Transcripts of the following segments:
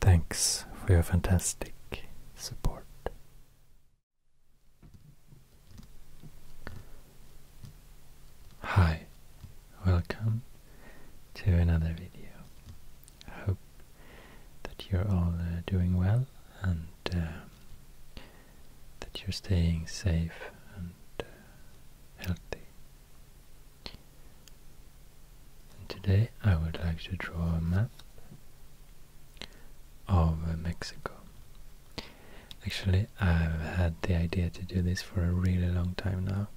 Thanks for your fantastic support. Hi, welcome to another video. I hope that you're all uh, doing well and uh, that you're staying safe and uh, healthy. And today I would like to draw a map of uh, Mexico. Actually, I've had the idea to do this for a really long time now,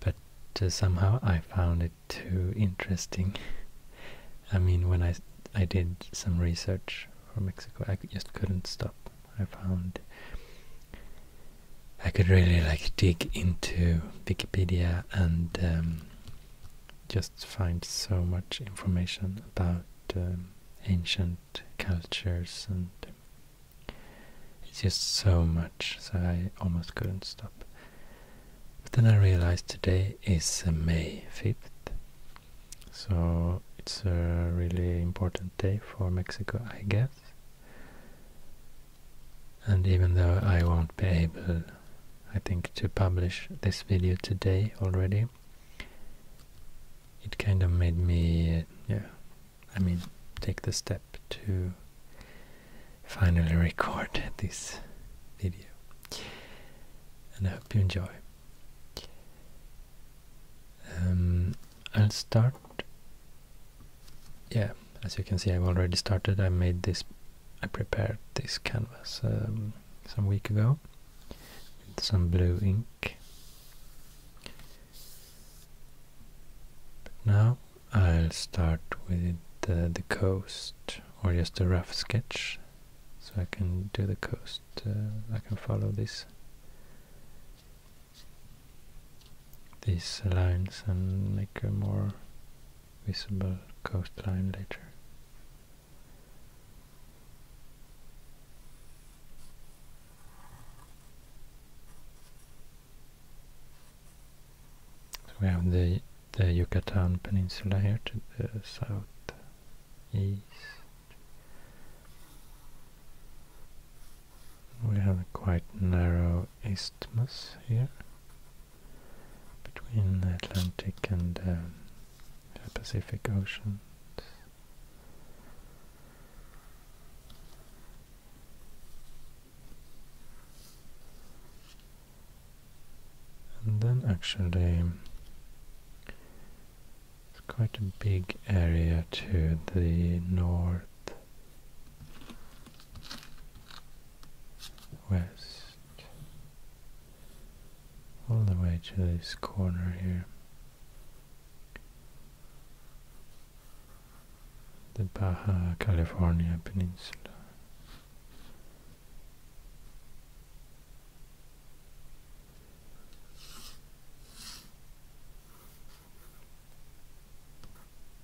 but uh, somehow I found it too interesting. I mean, when I, I did some research for Mexico, I just couldn't stop. I found I could really like dig into Wikipedia and um, just find so much information about um, ancient cultures and um, it's just so much so I almost couldn't stop. But then I realized today is uh, May 5th so it's a really important day for Mexico I guess and even though I won't be able, I think, to publish this video today already, it kind of made me, yeah, I mean, take the step to finally record this video. And I hope you enjoy. Um, I'll start yeah, as you can see, I've already started. I made this, I prepared this canvas um, some week ago with some blue ink. now I'll start with uh, the, coast or just a rough sketch so I can do the coast. Uh, I can follow this these lines and make a more visible coastline later. we have the, the Yucatan Peninsula here to the south east. We have a quite narrow isthmus here between the Atlantic and um, the Pacific Ocean. And then actually it's quite a big area to the north west all the way to this corner here the Baja California Peninsula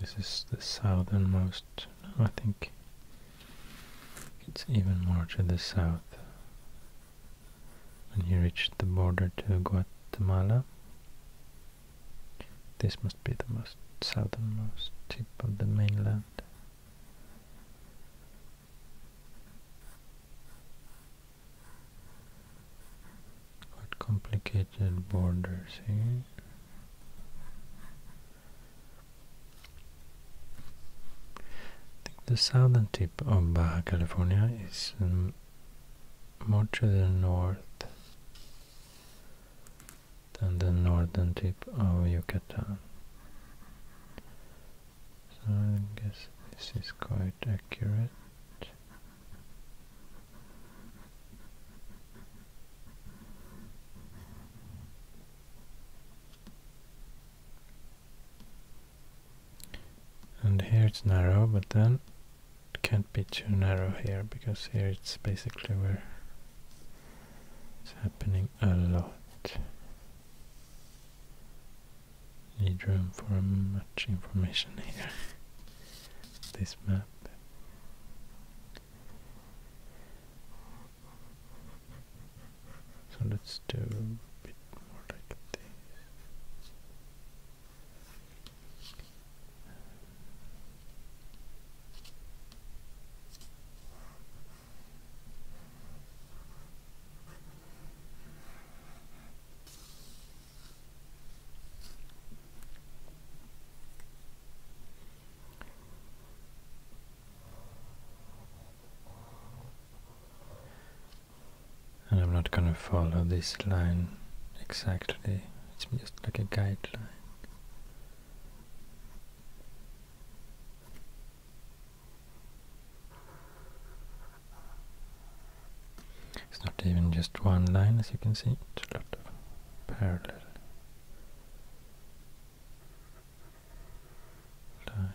This is the southernmost, I think it's even more to the south. And you reach the border to Guatemala, this must be the most southernmost tip of the mainland. Quite complicated borders here the southern tip of Baja California is more to the north than the northern tip of Yucatan. So I guess this is quite accurate. And here it's narrow, but then it can't be too narrow here, because here it's basically where it's happening a lot. Need room for much information here. this map. So let's do a bit more like this. And I'm not gonna follow this line exactly, it's just like a guideline. It's not even just one line as you can see, it's a lot of parallel light.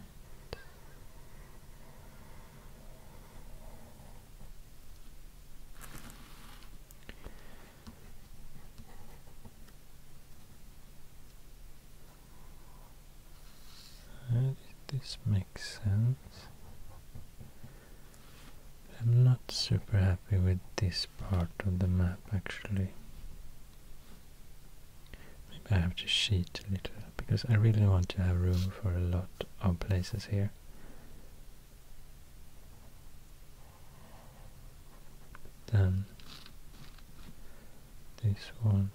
this make sense? I'm not super happy with this part of the map actually. Maybe I have to sheet a little because I really want to have room for a lot of places here. Then this won't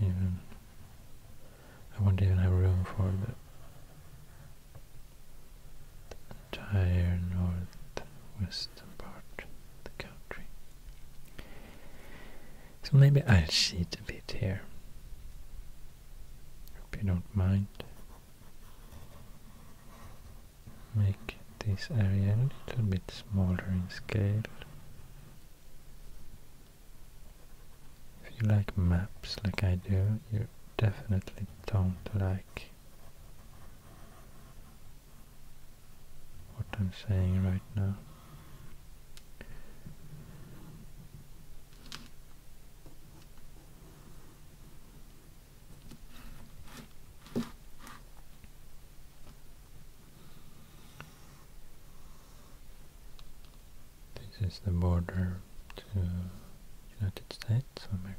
even I won't even have room for the the entire northwestern part of the country. So maybe I'll sit a bit here. Hope you don't mind. Make this area a little bit smaller in scale. If you like maps like I do, you definitely don't like what I'm saying right now. This is the border to United States of America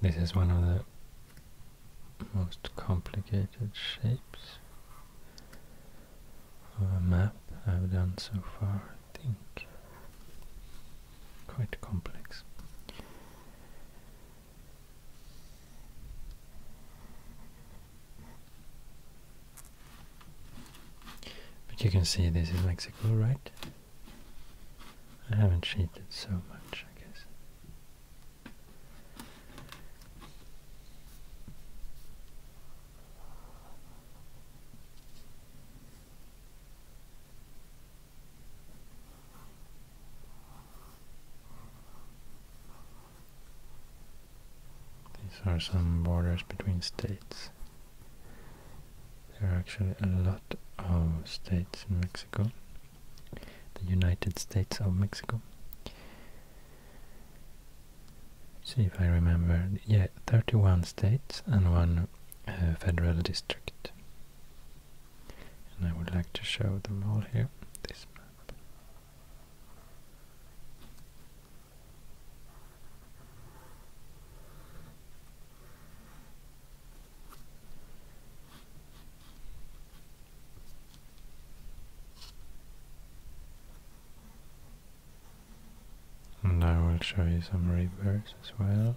this is one of the most complicated shapes of a map I've done so far, I think. Quite complex. But you can see this is Mexico, right? I haven't cheated so much, I guess. These are some borders between states. There are actually a lot of states in Mexico. The United States of Mexico. see if I remember. Yeah, 31 states and one uh, federal district. And I would like to show them all here, this map. And I will show you some rivers as well.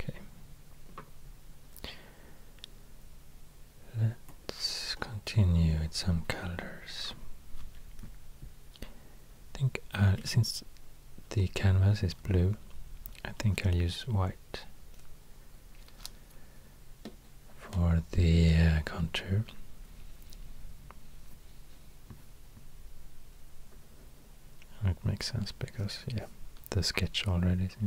Okay. Let's continue with some colors. I think since the canvas is blue, I think I'll use white for the uh, contour. That makes sense because yeah, the sketch already Try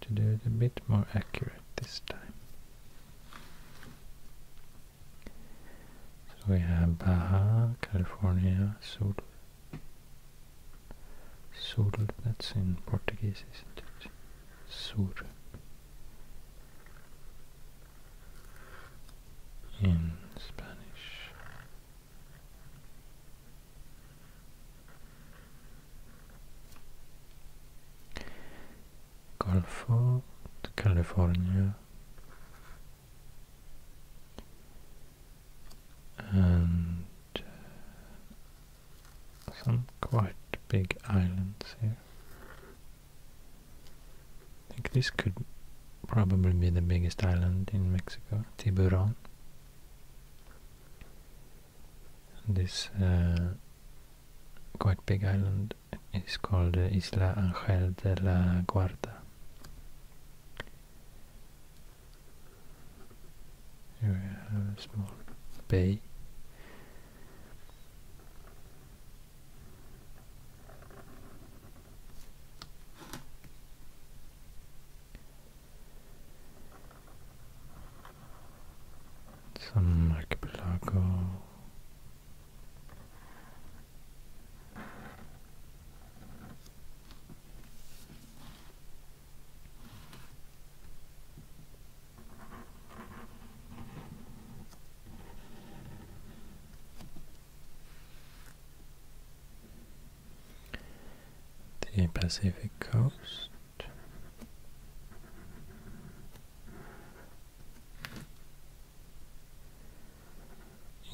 to do it a bit more accurate this time. So we have Baja, California, Sul. Sul, that's in Portuguese, isn't it? Sur in Spanish. Gulf of California and uh, some quite big islands here I think this could probably be the biggest island in Mexico, Tiburon. this uh, quite big island is called uh, Isla Angel de la Guarda. Here we have a small bay. Some archipelago the Pacific coast.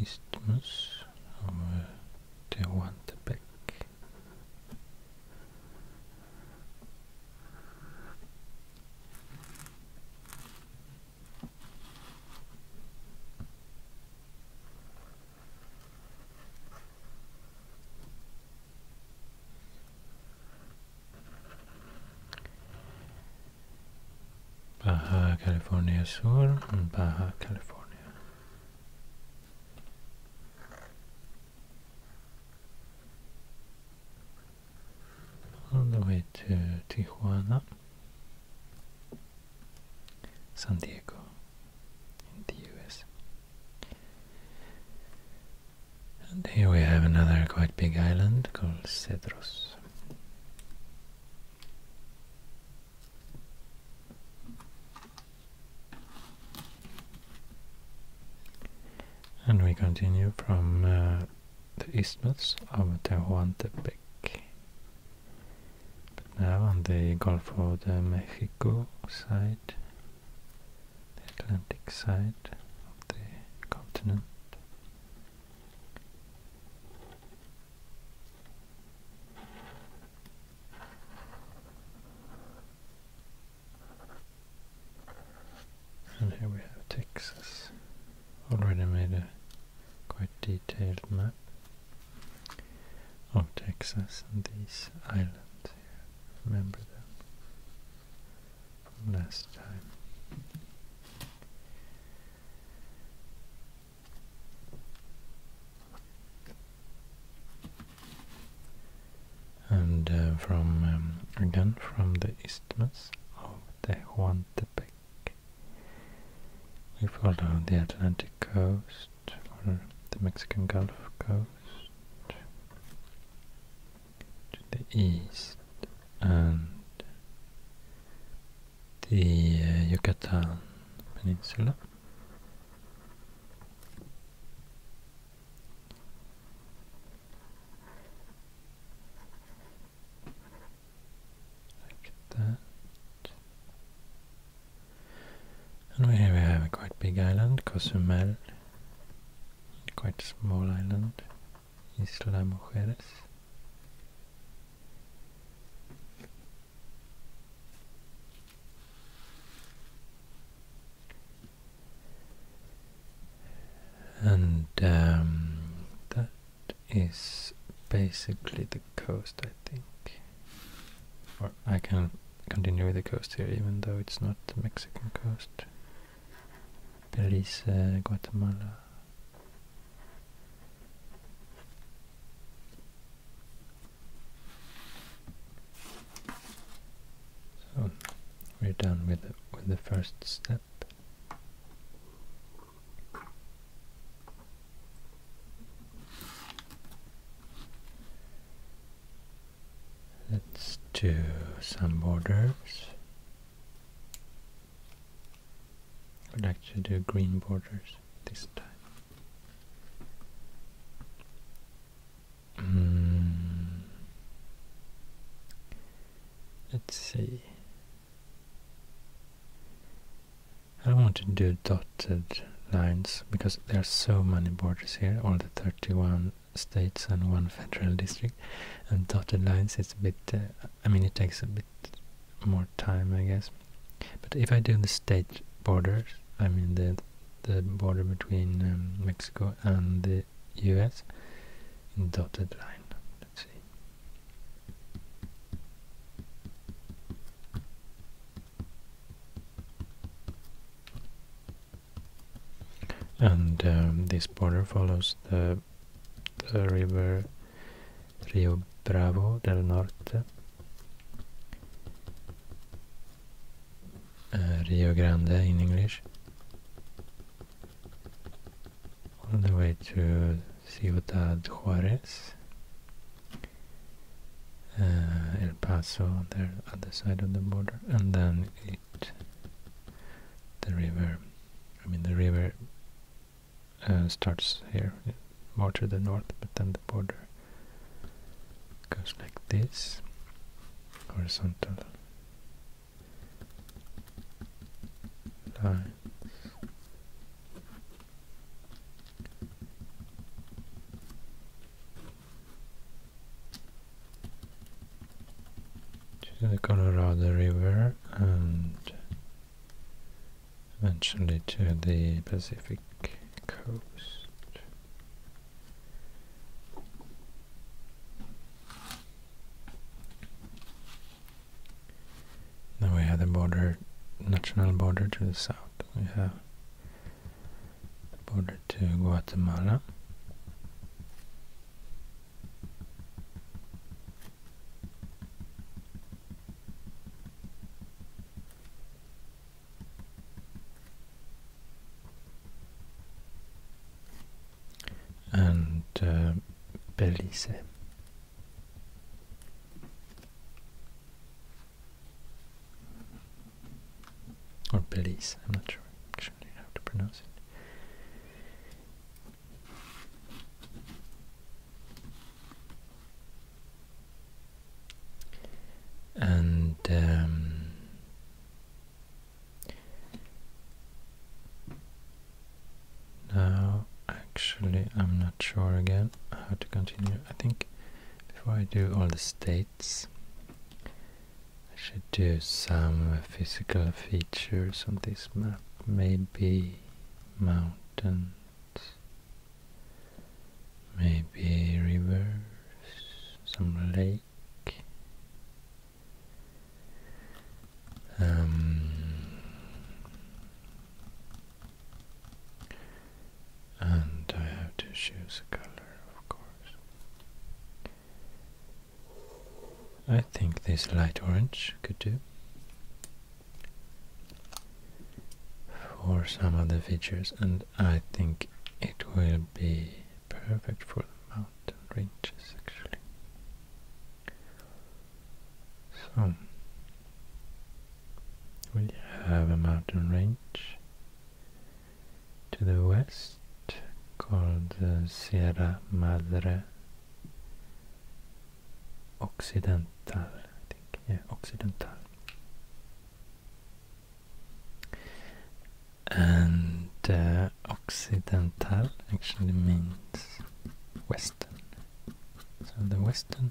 Isthmus of uh, Tehuantepec Baja California Sur and Baja California. On the way to Tijuana. San Diego in the US. And here we have another quite big island called Cedros. And we continue from uh, the isthmus of Tehuantepec. But now on the Gulf of the Mexico side, the Atlantic side of the continent. And here we have Texas. Already made a quite detailed map of Texas and these islands here. Remember them last time. And uh, from um, again from the isthmus of Tehuantepec we follow the Atlantic coast or the Mexican Gulf coast to the east and the uh, Yucatan Peninsula. And here we have a quite big island, Cozumel. Quite small island, Isla Mujeres. And um, that is basically the coast, I think. Or I can continue the coast here, even though it's not the Mexican coast. Belize, Guatemala. So we're done with with the first step. Let's do some borders. I would like to do green borders this time. Hmm. Let's see. I want to do dotted lines because there are so many borders here, all the 31 states and one federal district, and dotted lines it's a bit, uh, I mean it takes a bit more time I guess, but if I do the state borders, I mean the the border between um, Mexico and the US dotted line, let's see and um, this border follows the, the, river Rio Bravo del Norte uh, Rio Grande in English all the way to Ciudad Juarez, eh, El Paso, there, other side of the border, and then it, the river, I mean the river eh, starts here, more to the north, but then the border goes like this, horizontal line to the River and eventually to the Pacific coast. Then we have the border, national border to the south. We have border to Guatemala. and uh, Belize. Or police. I'm not sure actually how to pronounce it. And um, now, actually, I'm not sure again how to continue. I think before I do all the states, I should do some physical features on this map. Maybe mountains, maybe rivers, some lake. Um, and I have to choose a color, of course. I think this light orange could do. For some of the features, and I think it will be perfect for the mountain ranges actually. So we have a mountain range to the west called the uh, Sierra Madre Occidental, I think, yeah, Occidental. And uh, Occidental actually means Western, so the Western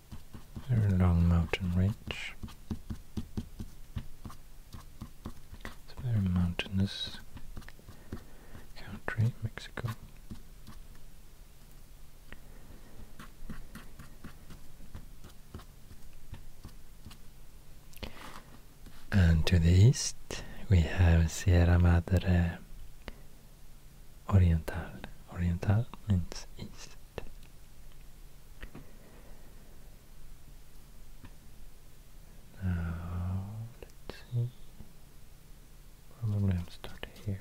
They're along mountain range. It's a very mountainous country, Mexico. And to the east we have Sierra Madre Oriental. Oriental means east. Now, let's see. Probably I'm starting here.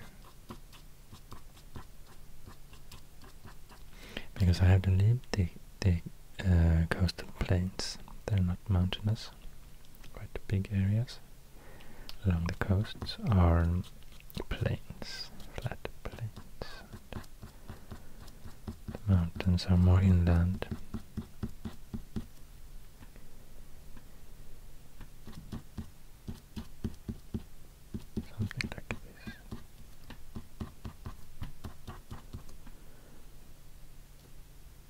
Because I have to leave the, the uh, coastal plains. They're not mountainous. Quite big areas along the coasts are plains, flat plains. Mountains are more inland. Something like this.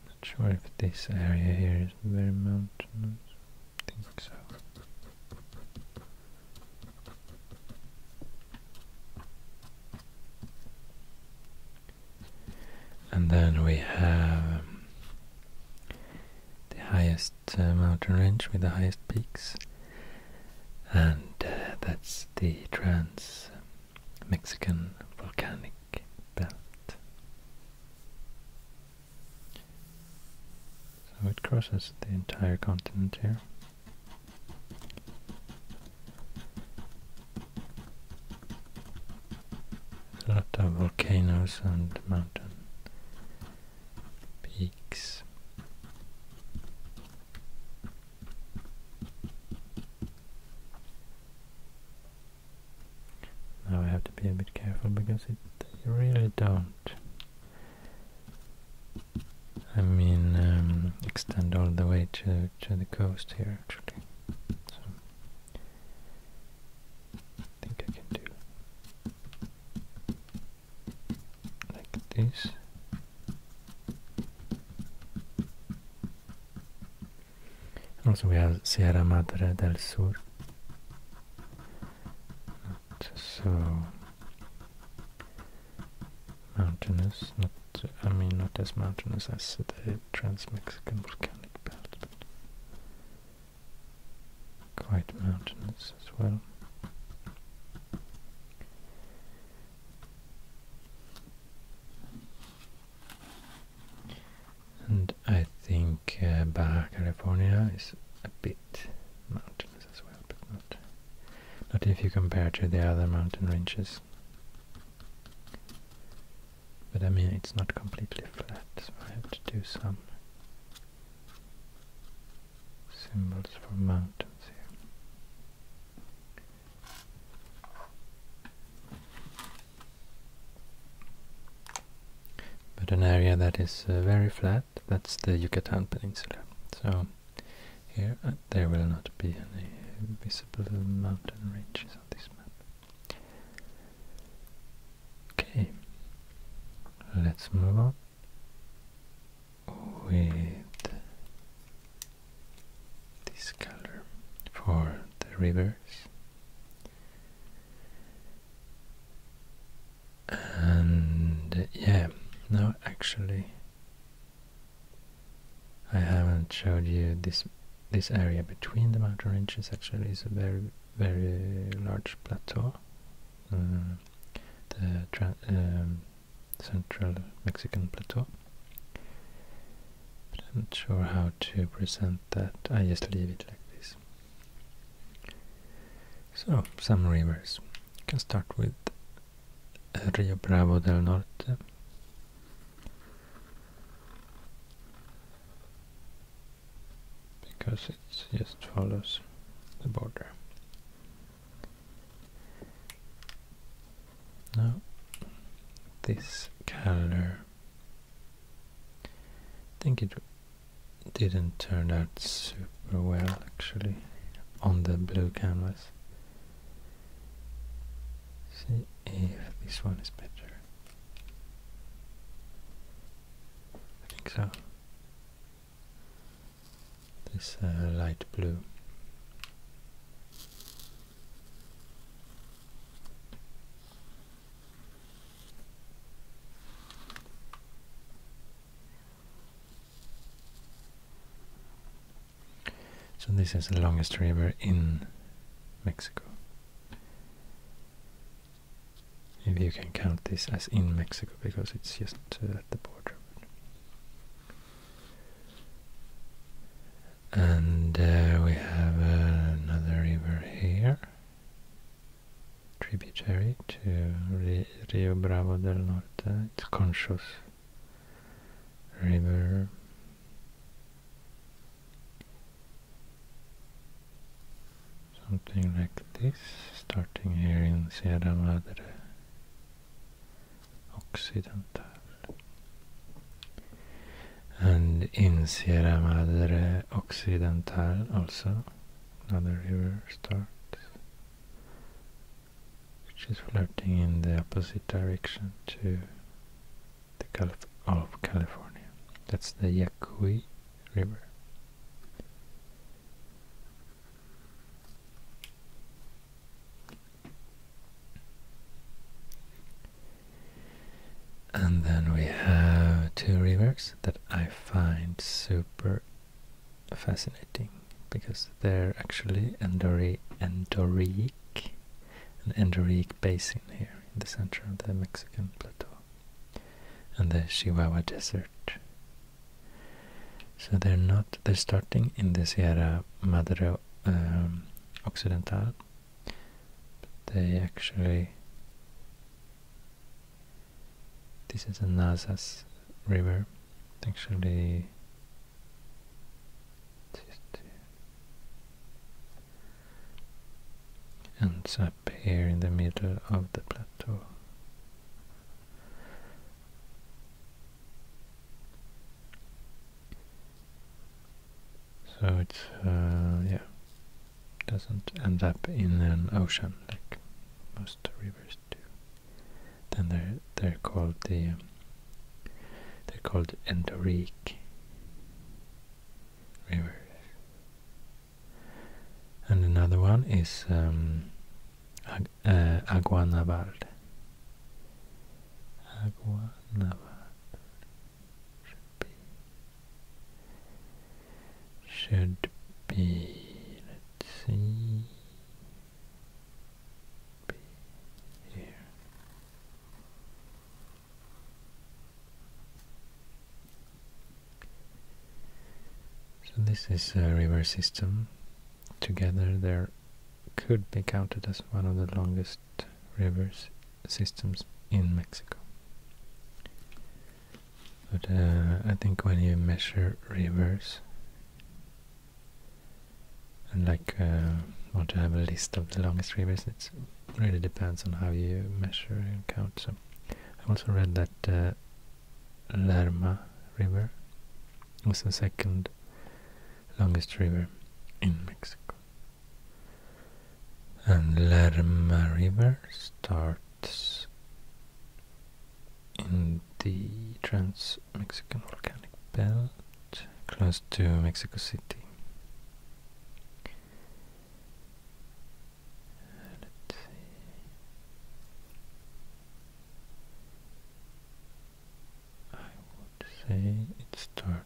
Not sure if this area here is very mountainous. think so. And then we have the highest uh, mountain range with the highest peaks, and uh, that's the Trans Mexican Volcanic Belt. So it crosses the entire continent here. A lot of volcanoes and mountain peaks. Now I have to be a bit careful because it, they really don't I mean, um, extend all the way to to the coast here actually. So think I can do like this. Also, we have Sierra Madre del Sur. so mountainous, not I mean not as mountainous as the Trans-Mexican volcanic belt, but quite mountainous as well. And I think uh, Baja California is a bit mountains as well, but not not if you compare to the other mountain ranges. But I mean, it's not completely flat, so I have to do some symbols for mountains here. But an area that is uh, very flat, that's the Yucatan Peninsula. So here, uh, there will not be any visible mountain ranges on this map. Okay, let's move on with this color for the rivers. And yeah, now actually I haven't showed you this this area between the mountain ranges actually is a very very large plateau. Mm, the um, central Mexican plateau. I'm not sure how to present that. I just leave it like this. So some rivers. can start with Rio Bravo del Norte. Because it just follows the border. Now, this color, I think it didn't turn out super well actually on the blue canvas. See if this one is better. I think so. This uh, light blue. So this is the longest river in Mexico. If you can count this as in Mexico because it's just uh, at the border. And uh, we have uh, another river here, tributary to Rio Bravo del Norte, it's conscious reverb something like this starting here in Sierra Madre Occidental and in Sierra Madre Occidental also another river starts which is floating in the opposite direction to the Gulf of California. That's the Yaqui River. And then we have two rivers that I find super fascinating because they're actually endorheic, endorheic an endorheic basin here in the center of the Mexican plateau and the Chihuahua Desert. So they're not, they're starting in the Sierra Madre um, Occidental, but they actually, this is a NASA's river actually ends up here in the middle of the plateau. So it's, uh, yeah, doesn't end up in an ocean like most rivers do. Then they're they're called the um, they're called endoric rivers. And another one is um, Ag uh, should be should be let's see so this is a river system. Together there could be counted as one of the longest rivers systems in Mexico. But uh, I think when you measure rivers and like uh, want to have a list of the longest rivers it really depends on how you measure and count so I also read that uh, Lerma river was the second longest river in Mexico and Lerma river starts in the Trans-Mexican Volcanic Belt, close to Mexico City. Let's see. I would say it starts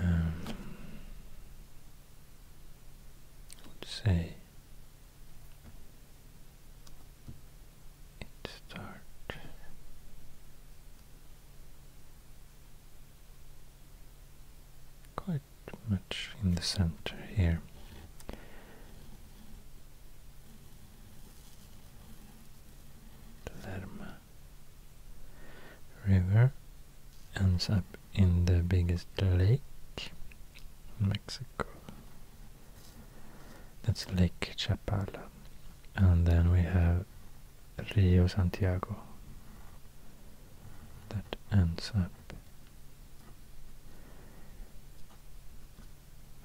um, would say it start quite much in the center here. The Lerma river ends up in the biggest lake in Mexico. That's Lake Chapala. And then we have Rio Santiago that ends up.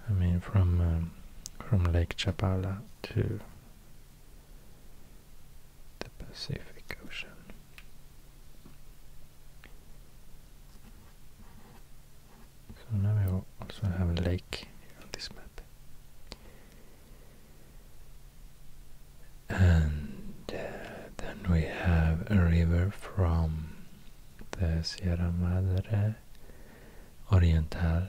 I mean, from um, from Lake Chapala to the Pacific Ocean. So now we also have a lake on this map. And uh, then we have a river from the Sierra Madre Oriental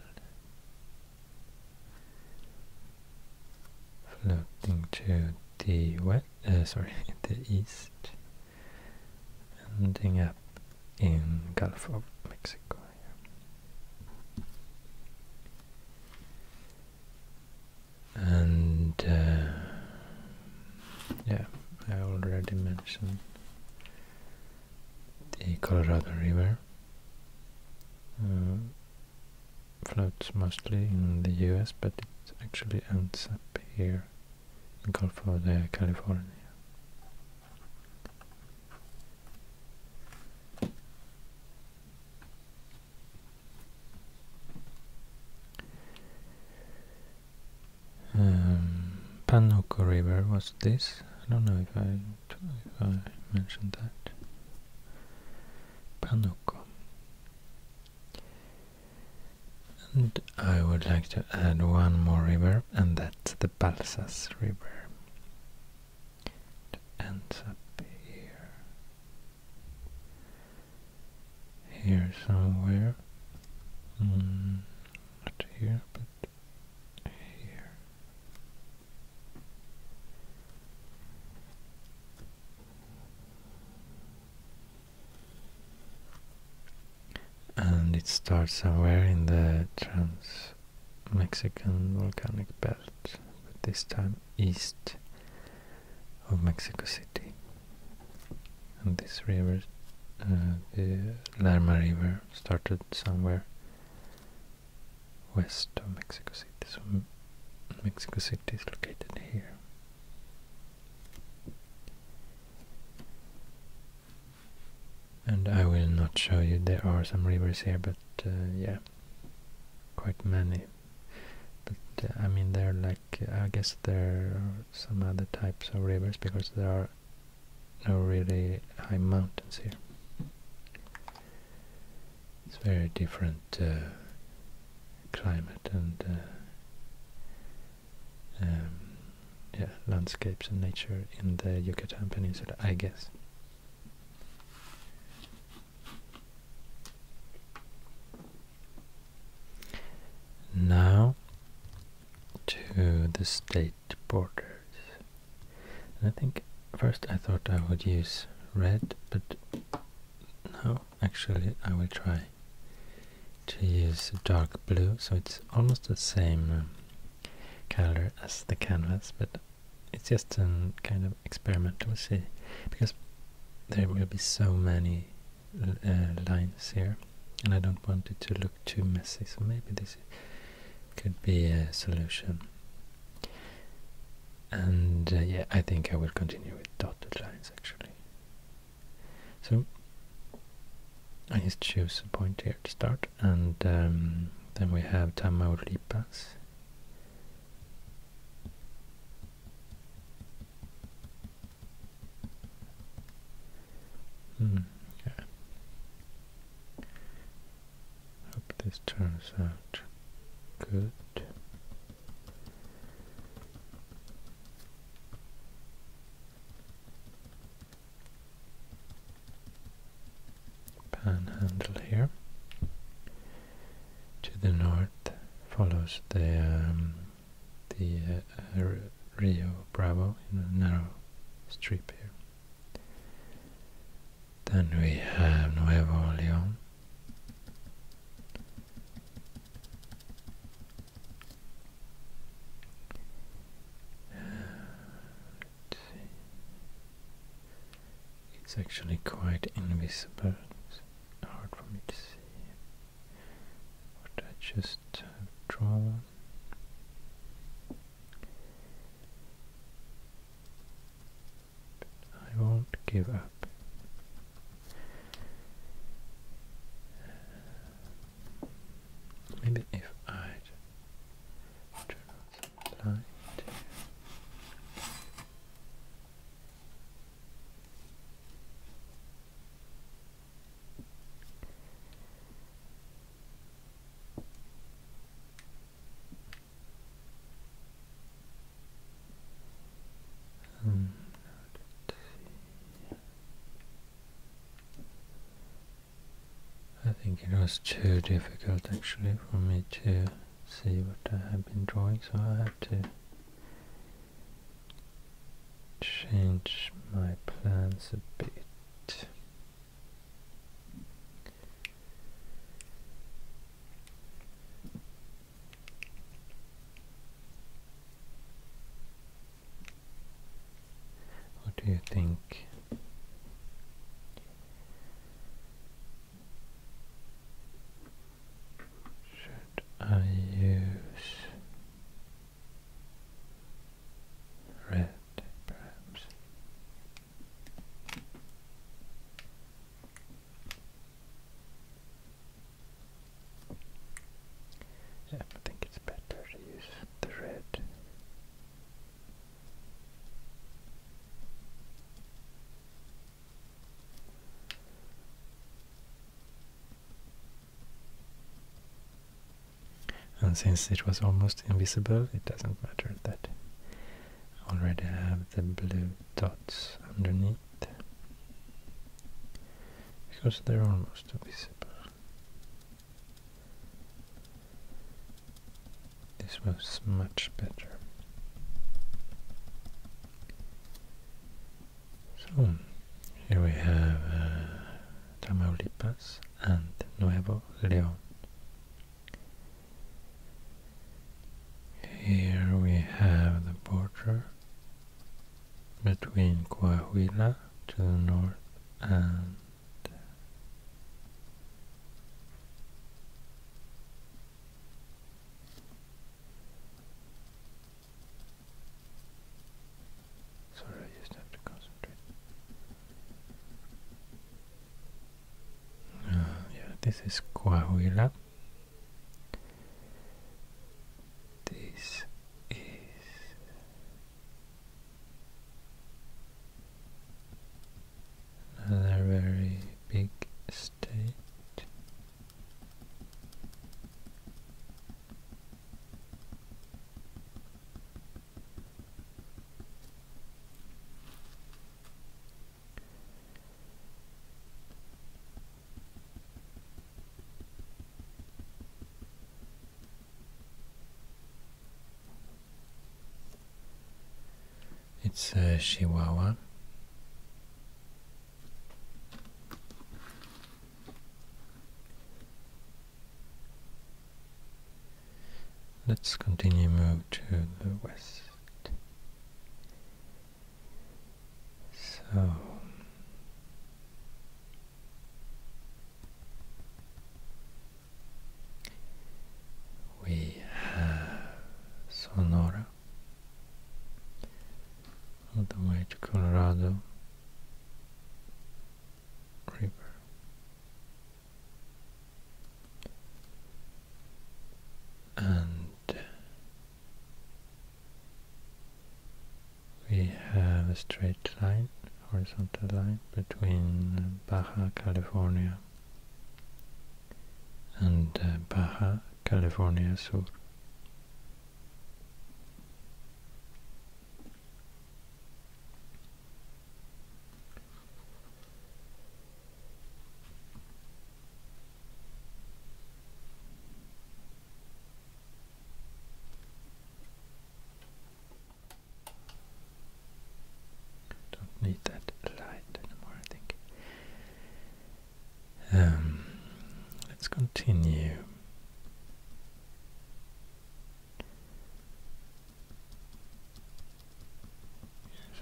flowing to the west, uh, sorry, the east ending up in Gulf of Mexico. And uh, yeah, I already mentioned the Colorado River. Uh, floats mostly in the US, but it actually ends up here Gulf of California. Um, Panuco River was this. I don't know if I, if I mentioned that. Panuco. And I would like to add one more river, and that's the Balsas River. ends up here. Here somewhere. Hmm, not here, but here and it starts somewhere in the Trans-Mexican Volcanic Belt, but this time east of Mexico City. And this river, uh, the Lerma River, started somewhere west of Mexico City, so Mexico City is located here and I will not show you, there are some rivers here, but uh, yeah, quite many. But uh, I mean, they're like, I guess there are some other types of rivers because there are no really high mountains here. It's very different uh, climate and um, yeah, landscapes and nature in the Yucatan Peninsula, I guess. Now to the state borders. And I think first I thought I would use red, but no actually I will try to use dark blue so it's almost the same um, color as the canvas but it's just a kind of experiment we'll see because there will be so many uh, lines here and I don't want it to look too messy so maybe this could be a solution and uh, yeah I think I will continue with dotted lines actually so I just choose a point here to start, and um, then we have Tamaulipas. Hmm, yeah. Hope this turns out good panhandle here. To the north follows the um, the uh, Rio Bravo in a narrow strip here. Then we have Nuevo León, it's actually quite invisible. It's hard for me to see what I just have uh, I won't give up. Maybe if I turn on some light. And let's see. I think it was too difficult actually for me to see what I had been drawing, so I had to change my plans a bit. What do you think? Should I use red perhaps? I think it's better to use the red. And since it was almost invisible, it doesn't matter that I already have the blue dots underneath because they're almost invisible. This was much better. So, here we have uh, Tamaulipas and Nuevo León. Here we have the border between Coahuila to the north and Sorry, I just have to concentrate. Uh, yeah, this is Coahuila. This is another very big state. It's a uh, Chihuahua. Let's continue move to the west. So we have Sonora all the way to Colorado River. And we have a straight line, horizontal line, between Baja California and uh, Baja California Sur. Don't need that light anymore, I think. Um, let's continue.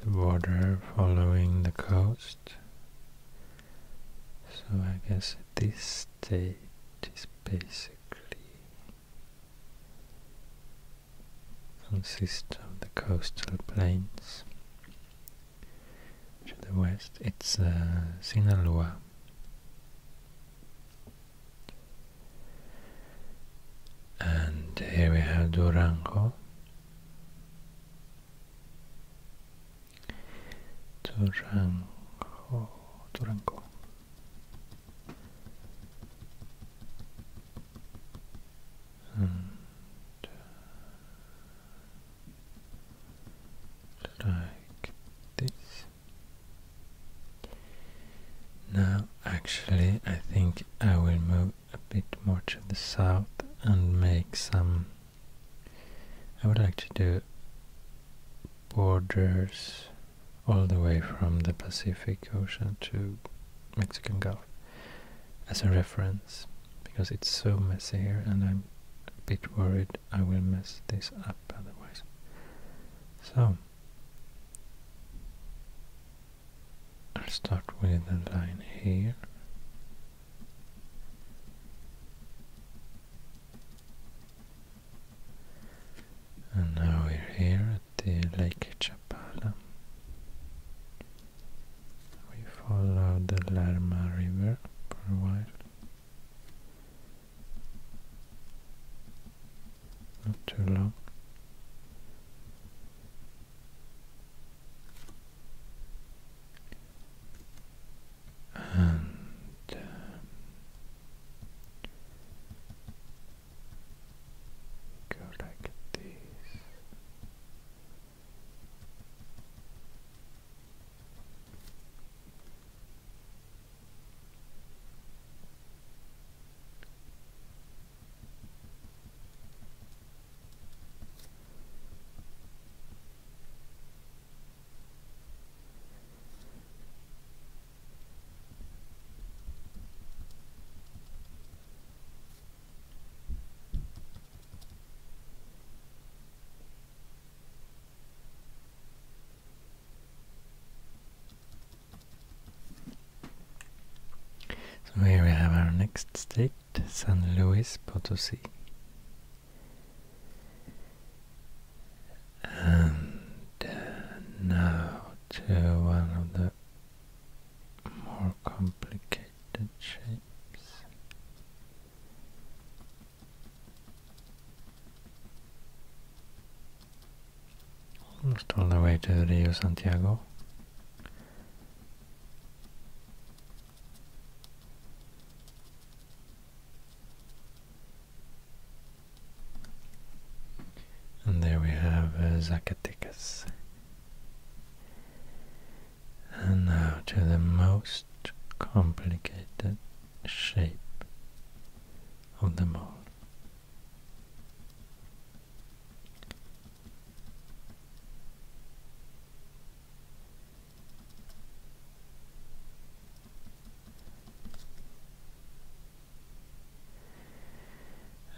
the border following the coast. So I guess this state is basically consists of the coastal plains to the west it's uh, Sinaloa and here we have Durango to Durango. And uh, like this. Now, actually, I think I will move a bit more to the south and make some. I would like to do borders all the way from the Pacific Ocean to Mexican Gulf as a reference because it's so messy here and I'm a bit worried I will mess this up otherwise. So I'll start with a line here and now we're here at the Lake Chapala. We follow the Lerma River for a while. Not too long and um, go like this. So here we have our next state, San Luis Potosi. And uh, now to one of the more complicated shapes. Almost all the way to the Rio Santiago. And there we have uh, Zacatecas. And now to the most complicated shape of them all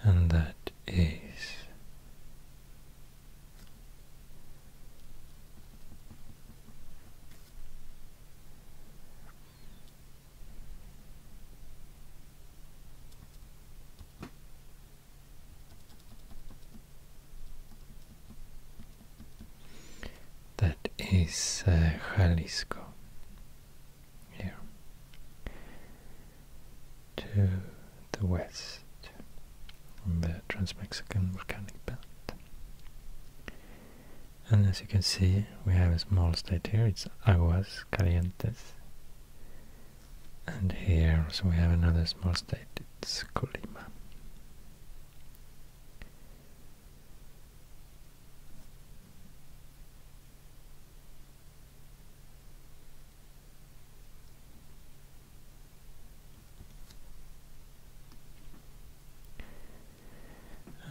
and that is that is uh, Jalisco here to the west on the Trans-Mexican volcanic belt. And as you can see, we have a small state here, it's Aguas Calientes. And here, so we have another small state, it's Colima.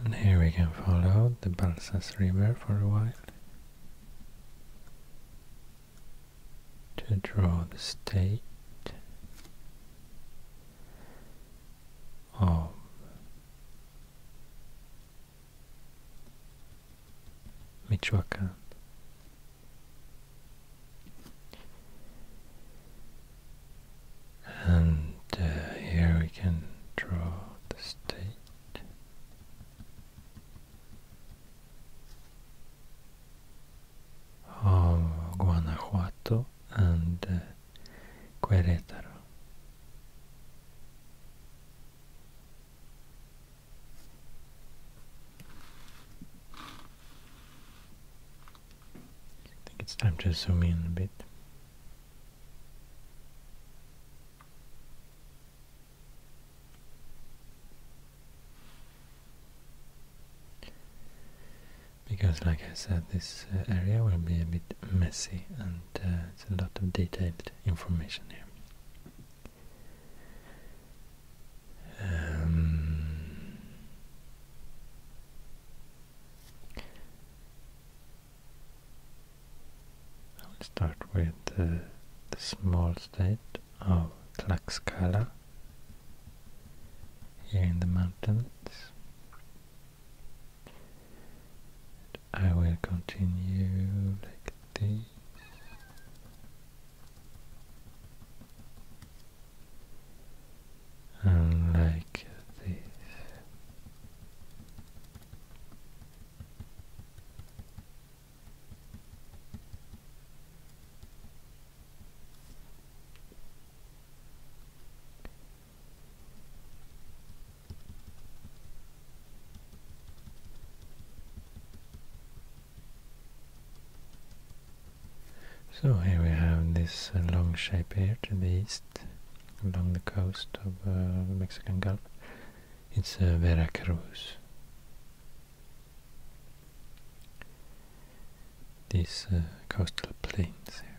And here we can follow the Balsas River for a while to draw the state um, oh. Michoacan. And uh, here we can draw the state. Of Guanajuato and uh, I think it's time to zoom in a bit because like I said this uh, area will be a bit messy and uh, it's a lot of detailed information here. Um, I will start with uh, the small state of Tlaxcala here in the mountains. I will continue like this. And like this. So here we have this uh, long shape here to the east, along the coast of uh, the Mexican Gulf. It's uh, Veracruz. These coastal plains here.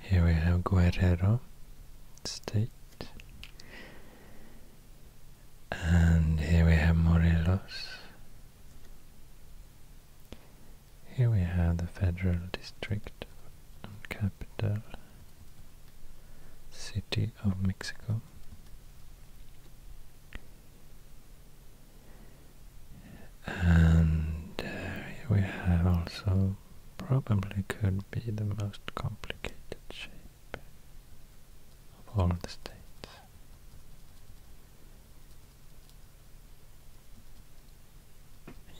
here we have Guerrero State, and here we have Morelos, here we have the federal district and capital city of Mexico. And uh, we have also probably could be the most complicated shape of all the states.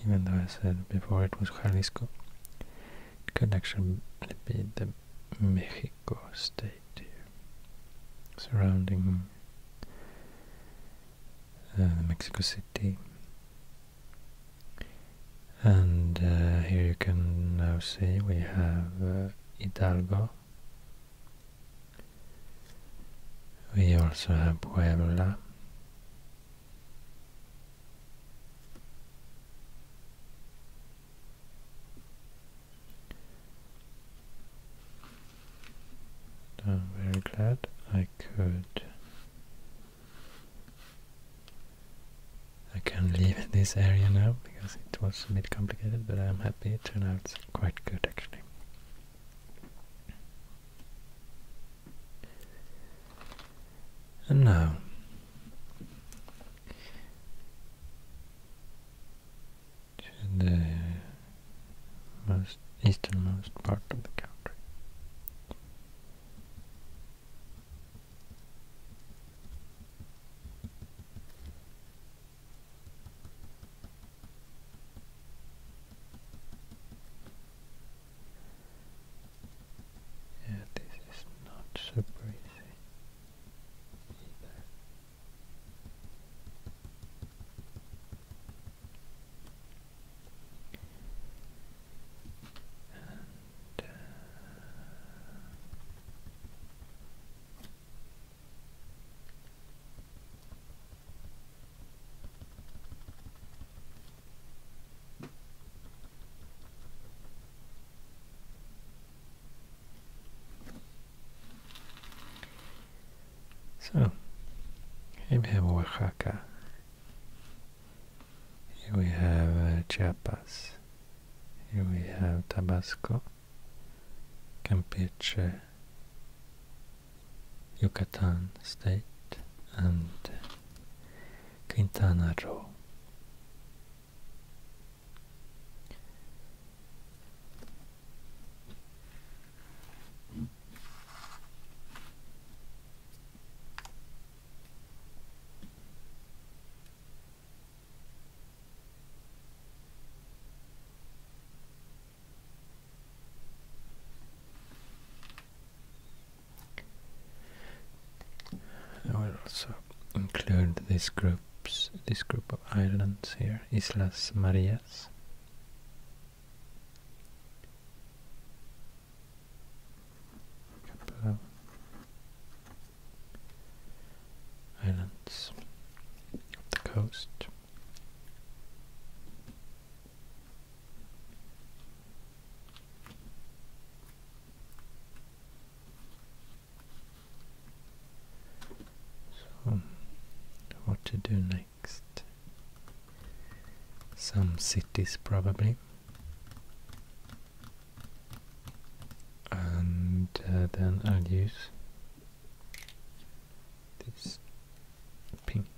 Even though I said before it was Jalisco, it could actually be the Mexico state surrounding uh, Mexico City. And uh, here you can now see we have uh, Hidalgo, we also have Puebla. I'm very glad I could. I can leave this area now because it was a bit complicated, but I'm happy it turned out quite good actually. And now, to the most easternmost part of the country. Yeah, this is not super easy either. So, here we have Oaxaca. Here we have uh, Chiapas. Here we have Tabasco, Campeche, Yucatan state and Quintana Roo. I will also include these groups, this group of islands here, Islas Marias. islands the coast. So, what to do next? Some cities probably. And uh, then I'll use this pink.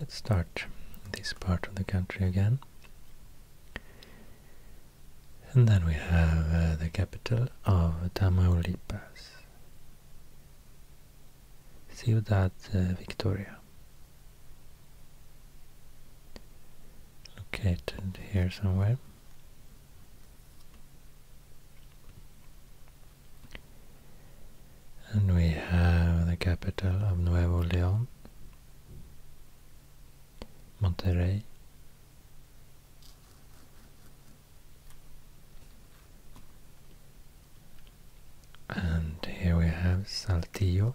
Let's start this part of the country again. And then we have uh, the capital of Tamaulipas. Ciudad uh, Victoria. Located here somewhere. And we have the capital of Nuevo León, Monterrey. And here we have Saltillo,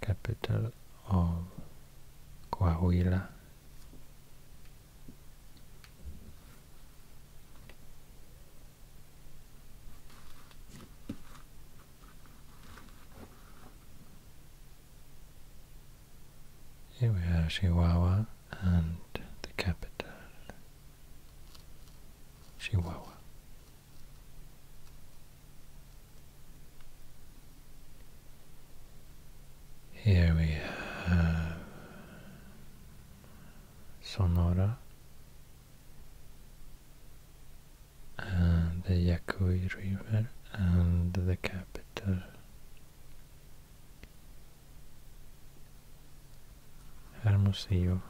capital of Coahuila. Here we have Chihuahua and the capital Chihuahua. Here we have Sonora and the Yaqui River and the capital Hermosillo.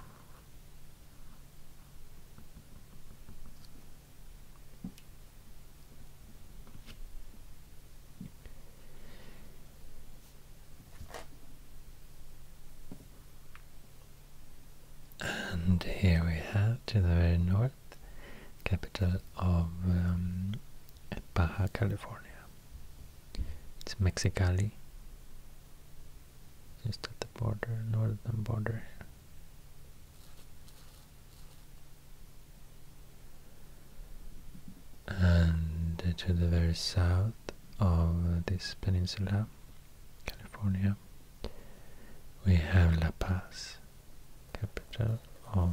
And here we have, to the very north, capital of um, Baja California. It's Mexicali. Just at the border, northern border. And to the very south of this peninsula, California, we have La Paz, capital of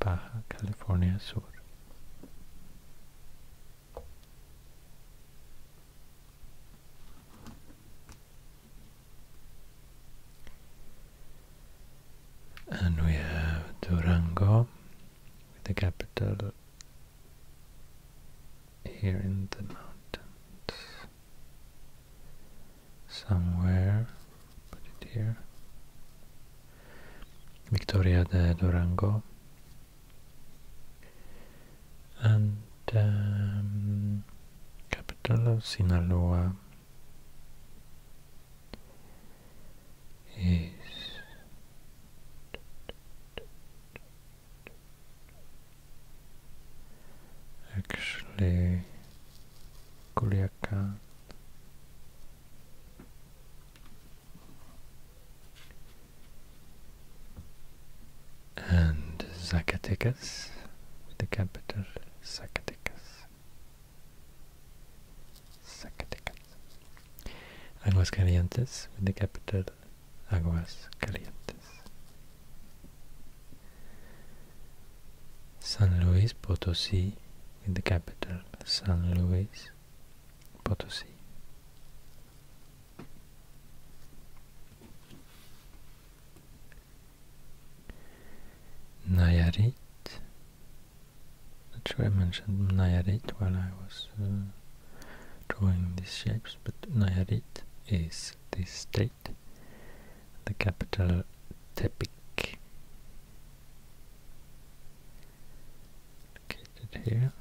Baja California Sur. And we have Durango, with the capital here in the mountains. Somewhere, put it here. Victoria de Durango. a um, capital Sinaloa jest, actually Culiacan. and Zacatecas, the capital Zacatecas. Zacatecas. Aguascalientes with the capital Aguas Calientes. San Luis Potosí with the capital San Luis Potosí. Nayarit. Not sure I mentioned Nayarit while I was uh, drawing these shapes, but Nayarit is the state, the capital Tepic located here.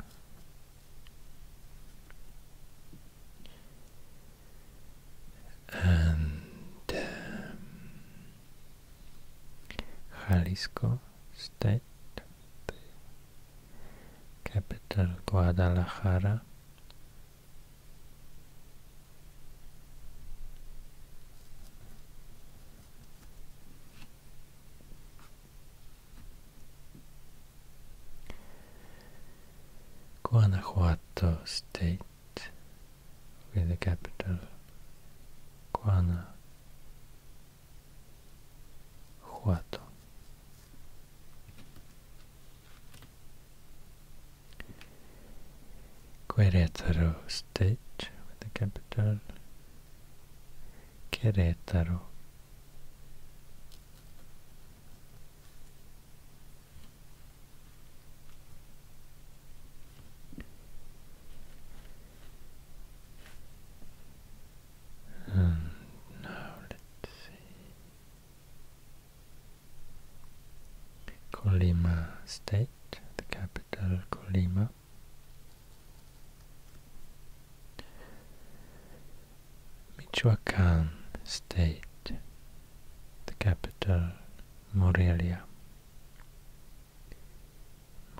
And um, Jalisco State, capital Guadalajara. Guanajuato state with the capital Guanajuato. Querétaro state with the capital Querétaro and now let's see Colima State, the capital Colima Michoacán State, the capital Morelia.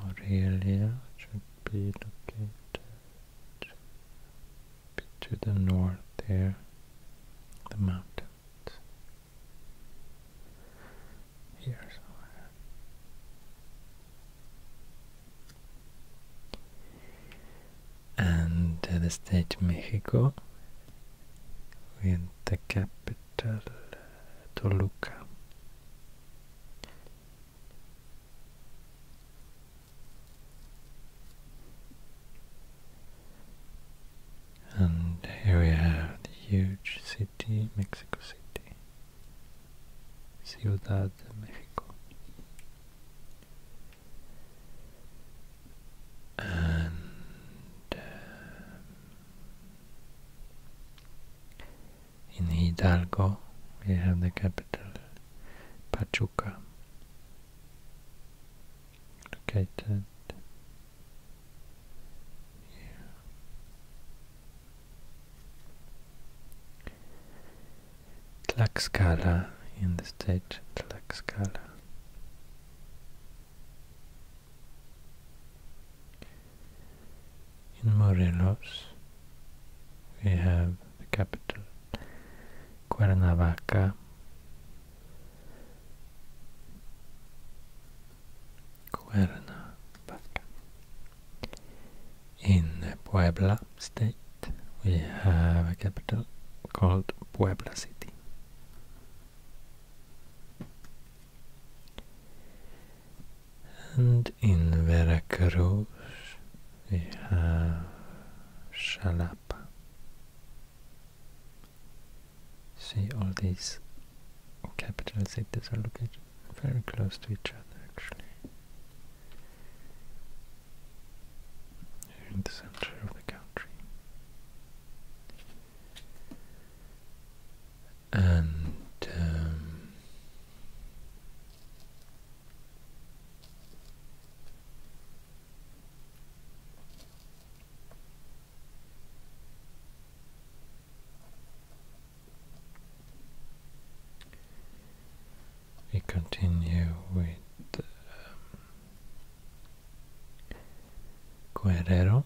Morelia should be located to the north there, the mountains. Here somewhere and the state Mexico with the capital Toluca. And here we have the huge city, Mexico City. Ciudad de Mexico. And uh, in Hidalgo, we have the capital Pachuca, located here. Tlaxcala in the state Tlaxcala. In Morelos, we have the capital Cuernavaca. Cuerna in Puebla state, we have a capital called Puebla City. And in Veracruz, we have Xalapa. See, all these capital cities are located very close to each other actually. in the center of the country. And um, we continue with um, Guerrero.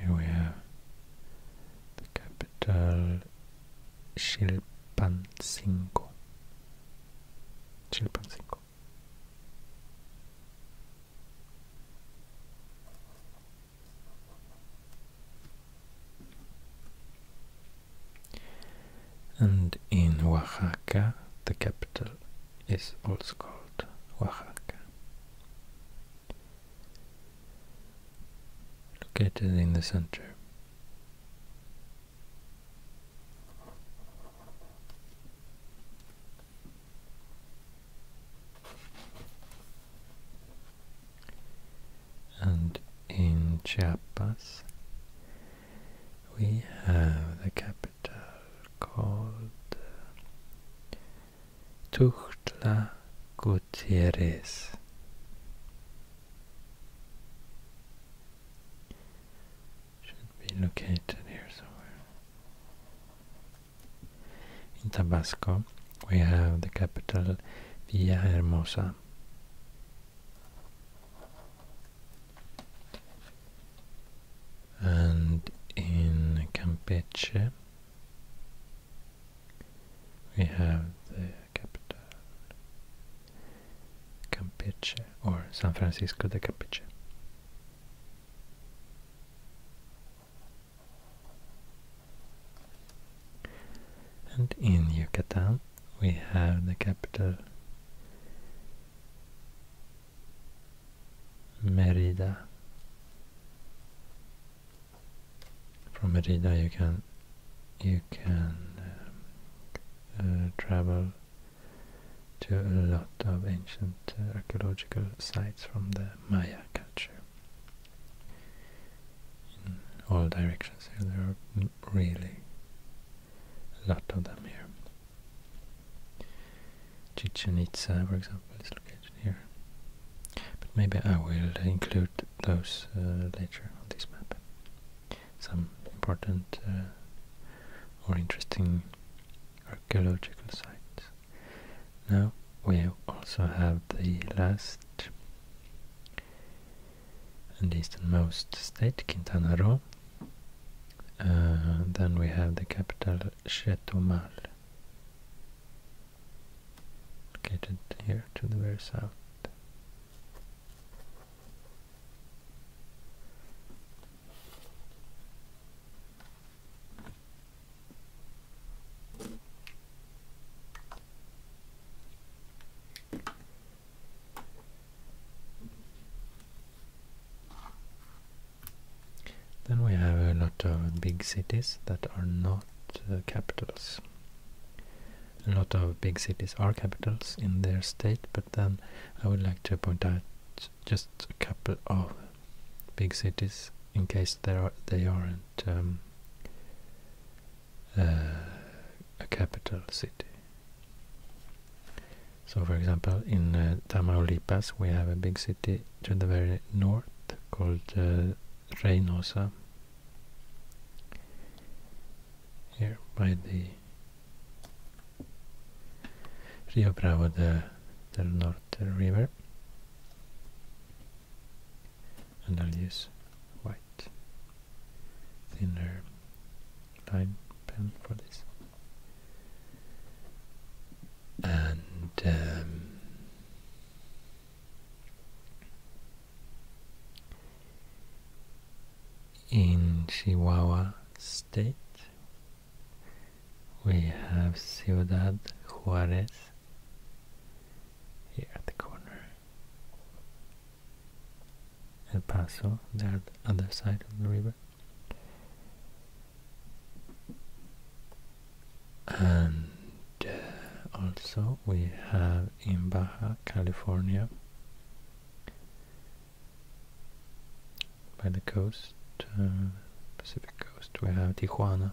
Here we have the capital Chilpancingo. Chilpancingo. And in Oaxaca, the capital is also called Oaxaca. Located in the center. And in Chiapas, we have the capital called uh, Tuxtla Gutierrez. Should be located here somewhere. In Tabasco, we have the capital Villahermosa. And in Campeche, we have the capital Campeche or San Francisco de Campeche. And in Yucatan we have the capital Merida. From Merida you can you can um, uh, travel to a lot of ancient archaeological sites from the Maya culture in all directions here. There are really a lot of them here. Chichen Itza, for example, is located here. But maybe I will include those uh, later on this map. Some important uh, or interesting archaeological sites. Now we also have the last and easternmost state, Quintana Roo. Uh, then we have the capital Chetumal, located here to the very south. Then we have a lot of big cities that are not uh, capitals. A lot of big cities are capitals in their state, but then I would like to point out just a couple of big cities in case there are, they are um, uh, a capital city. So, for example, in uh, Tamaulipas we have a big city to the very north called uh, Reynosa, here by the Rio Bravo de, del Norte river and I'll use white thinner line pen for this and um, in Chihuahua state we have Ciudad Juarez here at the corner. El Paso, there the other side of the river. And uh, also we have in Baja California by the coast, uh, Pacific coast, we have Tijuana.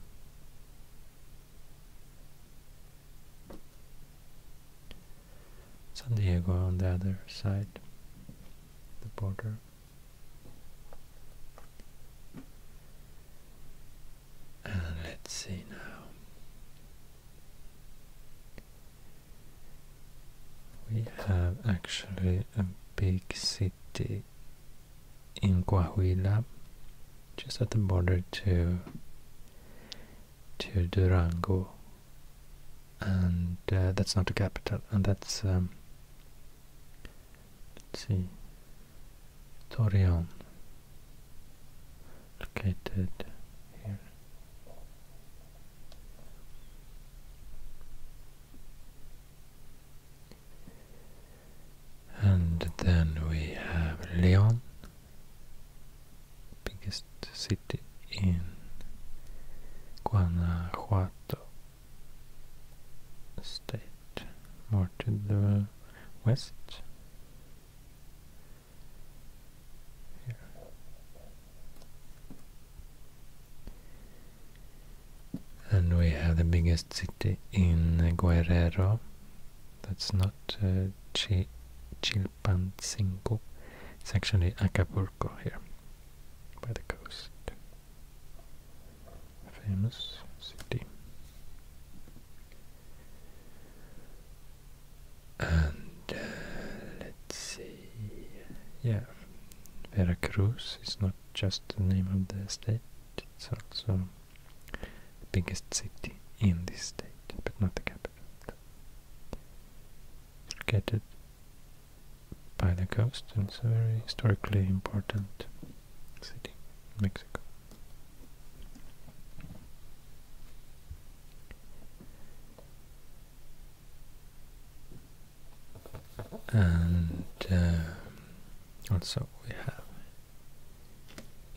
San Diego on the other side, the border. And let's see now. We have actually a big city in Coahuila, just at the border to to Durango, and uh, that's not the capital, and that's um, see, Torreon, located here. And then we have Leon, biggest city in Guanajuato state, more to the west. And we have the biggest biggest city in Guerrero. That's not uh, Chilpancingo. It's actually Acapulco here, by the coast. famous city. And uh, let's see. Yeah, Veracruz is not just the name of the state, it's also biggest city in this state, but not the capital. It's located by the coast it's a very historically important city in Mexico. And um, also we have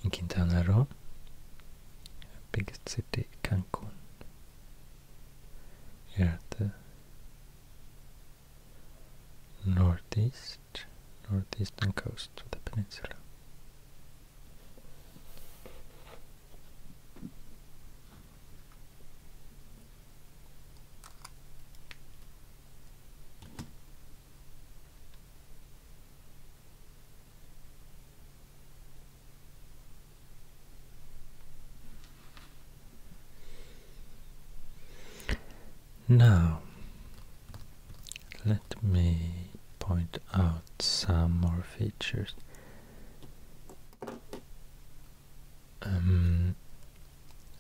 in Quintana Roo, biggest city Cancun. Here at the northeast, northeastern coast of the peninsula. Now, let me point out some more features. Um,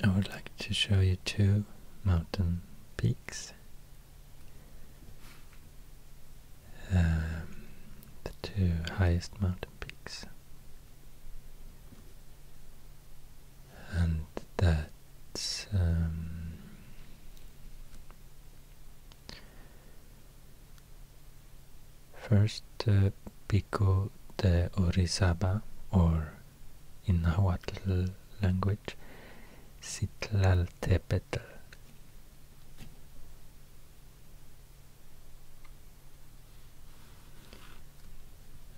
I would like to show you two mountain peaks. Um, the two highest mountain peaks, and that's um, first uh, Pico de Orizaba or in Nahuatl language, Citlaltepetl.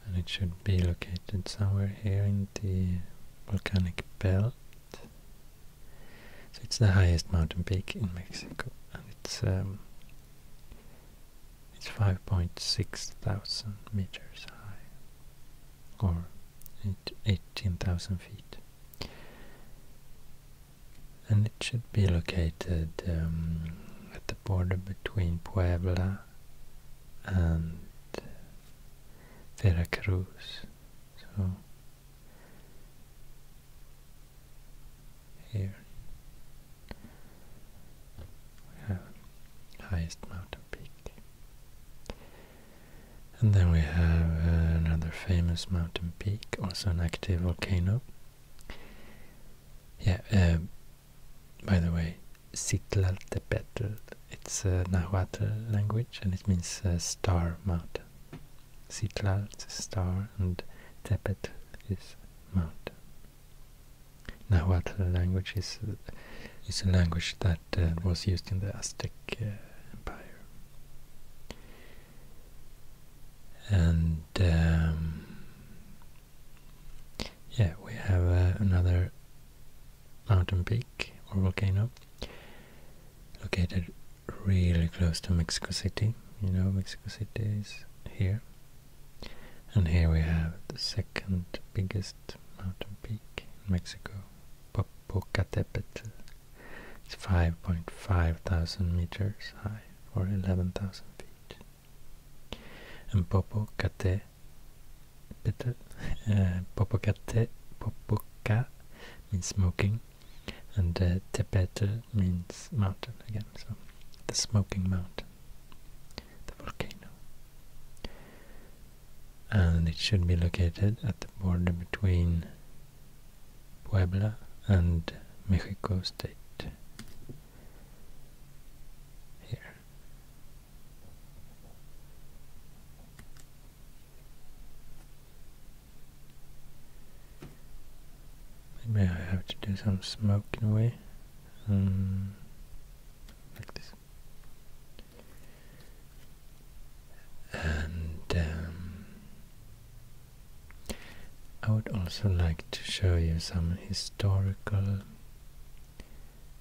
And it should be located somewhere here in the volcanic belt. So it's the highest mountain peak in Mexico, and it's um, it's 5.6 thousand meters high, or 18,000 feet. And it should be located um, at the border between Puebla and Veracruz. So here we have highest mountain peak. And then we have another famous mountain peak, also an active volcano. Yeah, uh, by the way, Citlaltepetl, it's a Nahuatl language and it means uh, star mountain. Citlal is star and Tepetl is mountain. Nahuatl language is it's a language that uh, was used in the Aztec uh, Empire. And um, yeah, we have uh, another mountain peak or volcano located really close to Mexico City. You know, Mexico City is here. And here we have the second biggest mountain peak in Mexico. Popocatépetl. It's 5.5 thousand meters high, or 11,000 feet. And Popocatépetl, uh, Popocate, Popoca means smoking, and uh, Tepete means mountain again, so the smoking mountain, the volcano and it should be located at the border between Puebla and Mexico State. Here. Maybe I have to do some smoking away. Um, like this and um, I would also like to show you some historical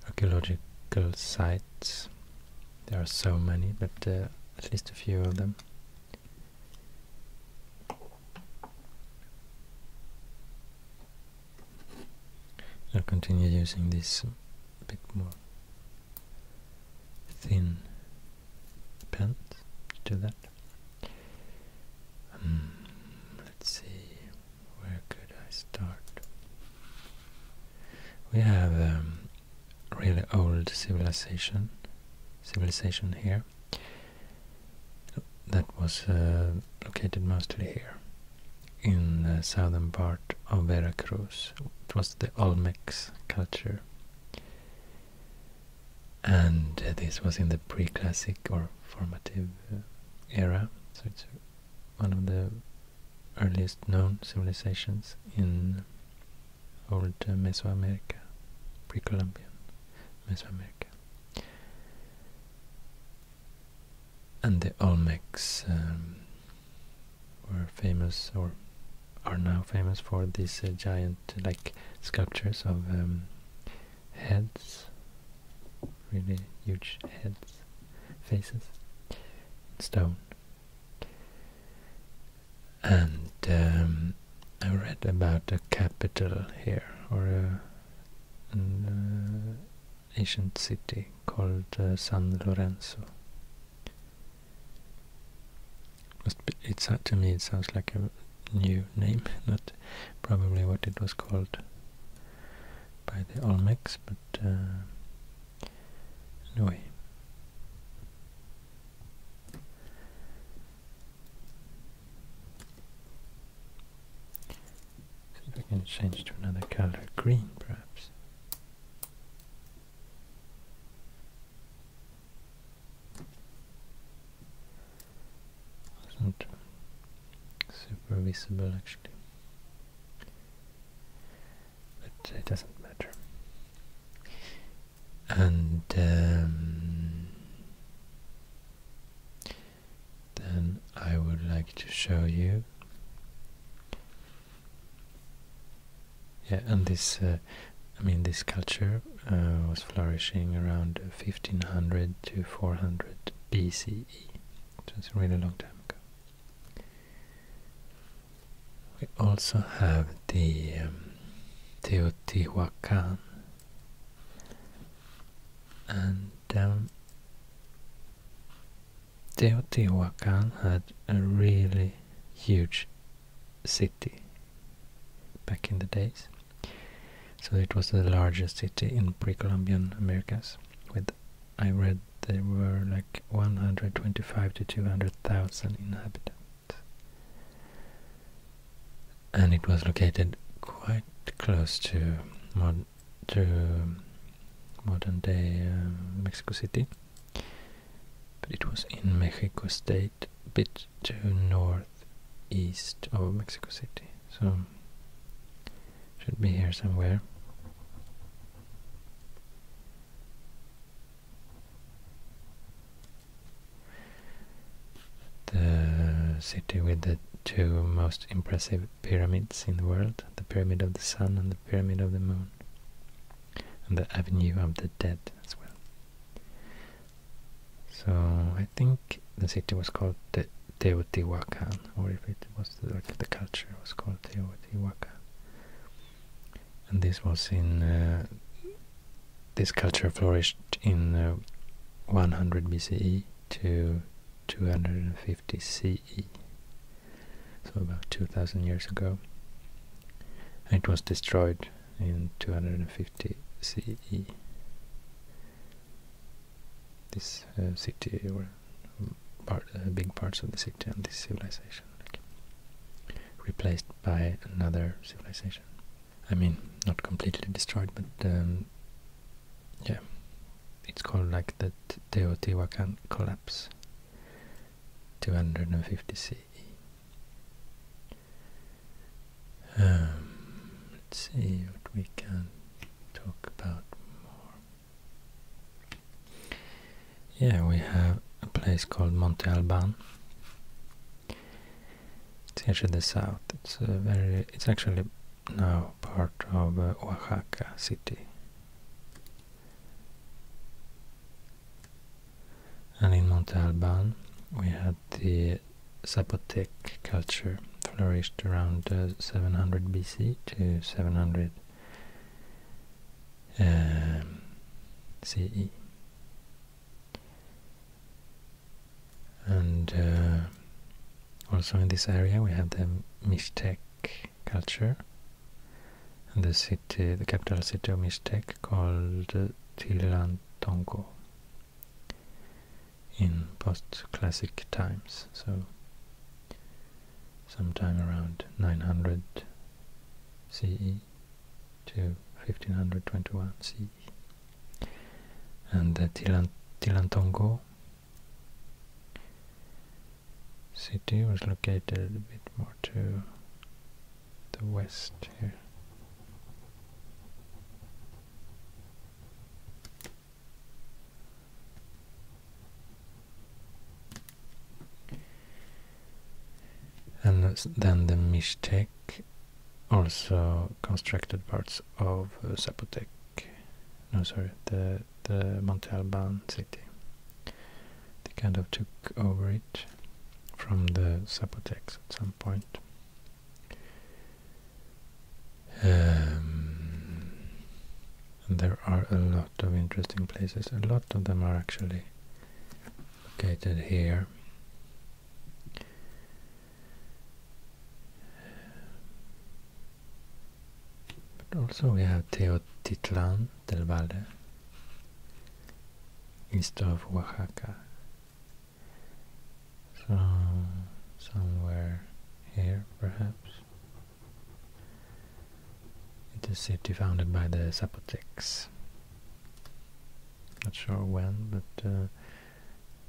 archaeological sites. There are so many, but uh, at least a few of them. I'll continue using this a bit more thin pen to do that. Um, let's see, where could I start? We have a um, really old civilization, civilization here. That was uh, located mostly here in the southern part of Veracruz. It was the Olmecs culture. And uh, this was in the preclassic or formative uh, era, so it's uh, one of the earliest known civilizations in old Mesoamerica, pre-Columbian Mesoamerica and the Olmecs um, were famous or are now famous for these uh, giant like sculptures of um, heads, really huge heads, faces, stone. And um, I read about a capital here or a, uh, ancient city called uh, San Lorenzo. Be, it's, to me it sounds like a new name, not probably what it was called by the Olmecs, but uh, anyway. See if I can change to another color, green perhaps. It's not super visible actually, but it doesn't matter. And um, then I would like to show you yeah, and this, uh, I mean, this culture uh, was flourishing around 1500 to 400 BCE. So it's a really long time ago. We also have the um, Teotihuacan. And down um, Teotihuacan had a really huge city back in the days. So it was the largest city in pre-Columbian Americas. With I read there were like 125 to 200,000 inhabitants. And it was located quite close to modern day uh, Mexico City. But it was in Mexico State, a bit to northeast of Mexico City, so should be here somewhere. The city with the two most impressive pyramids in the world, the Pyramid of the Sun and the Pyramid of the Moon and the Avenue of the Dead as well. So I think the city was called Te Teotihuacan, or if it was the, like the culture was called Teotihuacan, and this was in uh, this culture flourished in uh, 100 BCE to 250 CE so about 2000 years ago. It was destroyed in 250 CE. This uh, city, or uh, big parts of the city and this civilization, replaced by another civilization. I mean, not completely destroyed, but um, yeah, it's called like the Teotihuacan collapse. 250 CE. Um, let's see what we can talk about more. Yeah, we have a place called Monte Alban. It's here the south. It's very. It's actually now part of uh, Oaxaca city. And in Montalban, we had the Zapotec culture flourished around uh, 700 BC to 700 um, CE. And uh, also in this area we have the Mixtec culture and the city, the capital city of Mixtec called Tilantongo. in post-classic times, so sometime around 900 CE to 1521 CE. And the Tilantongo city was located a bit more to the west here. And then the Mixtec also constructed parts of Zapotec. No, sorry, the the Montalban city. They kind of took over it from the Zapotecs at some point. Um, there are a lot of interesting places. A lot of them are actually located here. But also we have Teotitlan del Valle, east of Oaxaca. So somewhere here perhaps. It is a city founded by the Zapotecs. Not sure when, but uh,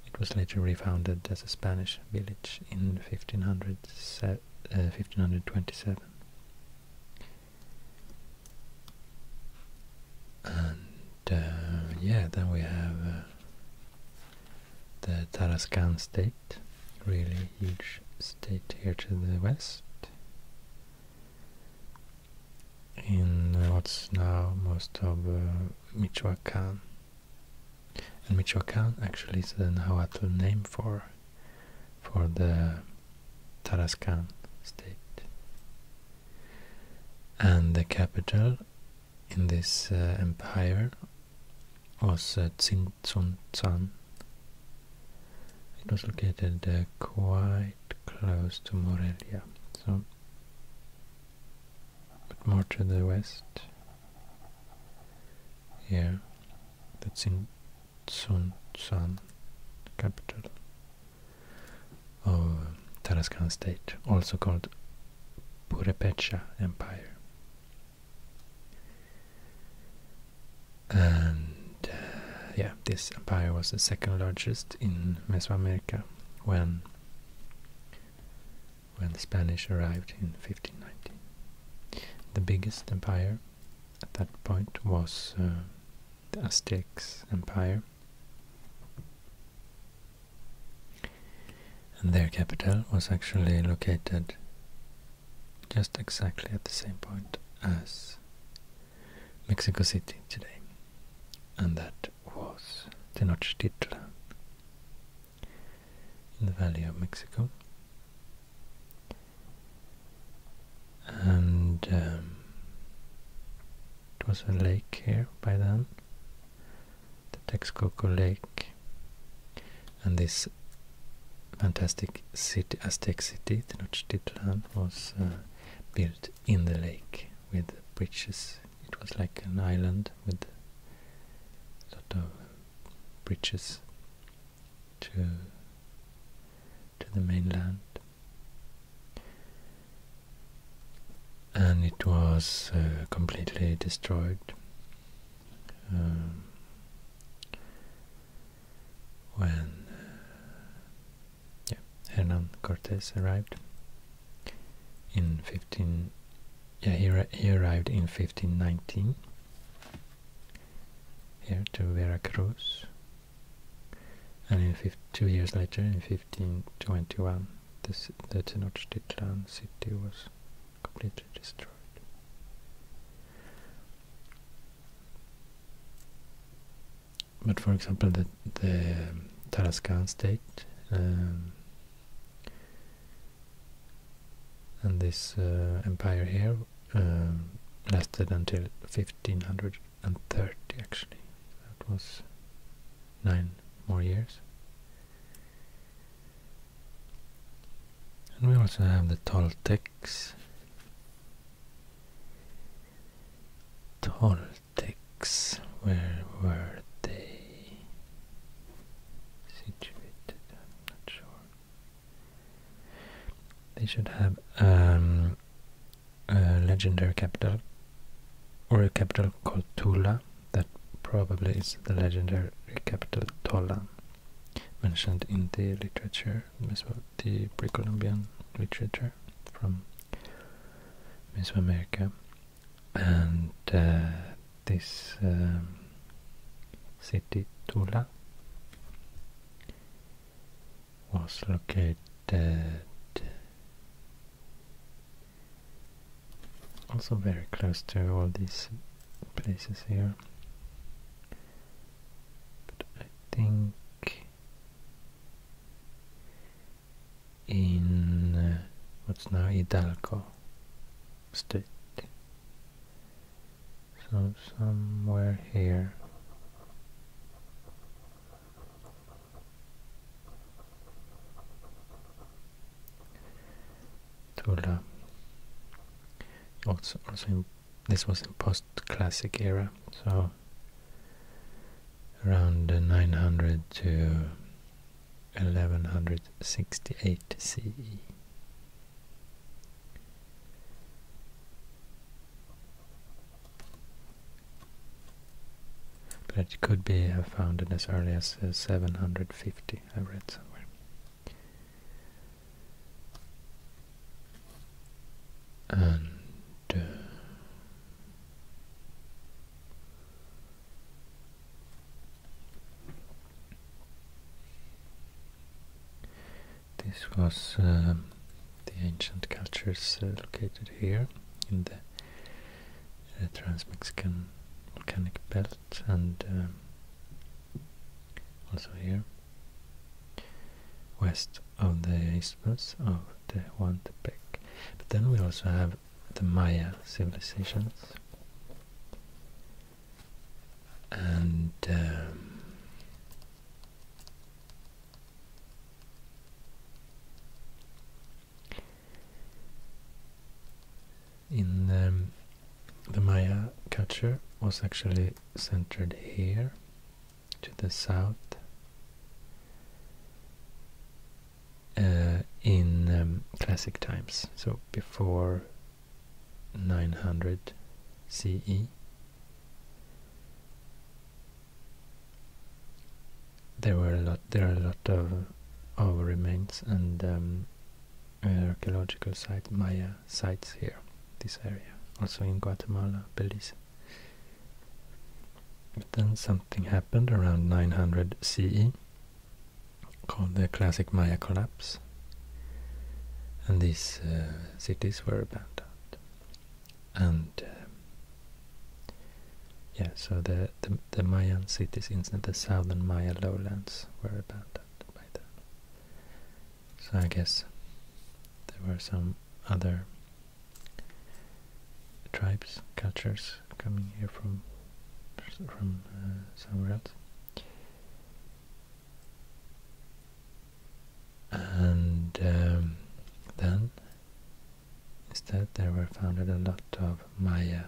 it was later refounded as a Spanish village in 1527. And uh, yeah, then we have uh, the Tarascan state, really huge state here to the west, in what's now most of uh, Michoacan. And Michoacan actually is the Nahuatl name for for the Tarascan state. And the capital in this uh, empire was uh, Tsintzuntzan. It was located uh, quite close to Morelia, so but more to the west. Here, that's in. Sunsan, capital of Tarascan state, also called Purepecha Empire. And uh, yeah, this empire was the second largest in Mesoamerica when when the Spanish arrived in 1590. The biggest empire at that point was uh, the Aztecs Empire. And their capital was actually located just exactly at the same point as Mexico City today. And that was Tenochtitlan in the Valley of Mexico and um, it was a lake here by then, the Texcoco Lake, and this fantastic city, Aztec city, Tenochtitlan, was uh, built in the lake with bridges. It was like an island with a of bridges to to the mainland and it was uh, completely destroyed um, when uh, Hernan Cortes arrived in 15 yeah he, he arrived in 1519 here to Veracruz. And in two years later, in 1521, this, the Tenochtitlan city was completely destroyed. But for example, the, the Tarascan state um, and this uh, empire here um, lasted until 1530 actually. That was nine more years. And we also have the Toltecs. Toltecs, where were they situated? not sure. They should have um, a legendary capital or a capital called Tula that probably is the legendary capital Tola mentioned in the literature, the pre-Columbian literature from Mesoamerica and uh, this um, city Tula was located also very close to all these places here. But I think in uh, what's now Hidalgo state so somewhere here. Tula. Also, also this was in post-classic era, so around 900 to 1168 CE. But it could be found it as early as 750, I read somewhere. And uh, this was um, the ancient cultures uh, located here in the uh, Trans-Mexican volcanic belt and um, also here west of the isthmus of the Tehuantepec. But then we also have the Maya civilizations and um, in um, the Maya culture was actually centered here to the south uh, in um, classic times, so before 900 CE. There were a lot. There are a lot of, of remains and um, archaeological sites Maya sites here, this area, also in Guatemala, Belize. But then something happened around 900 CE, called the Classic Maya Collapse and these uh, cities were abandoned. And uh, yeah, so the, the, Mayan cities in the southern Maya lowlands were abandoned by then. So I guess there were some other tribes, cultures coming here from from uh, somewhere else. And um, then instead there were founded a lot of Maya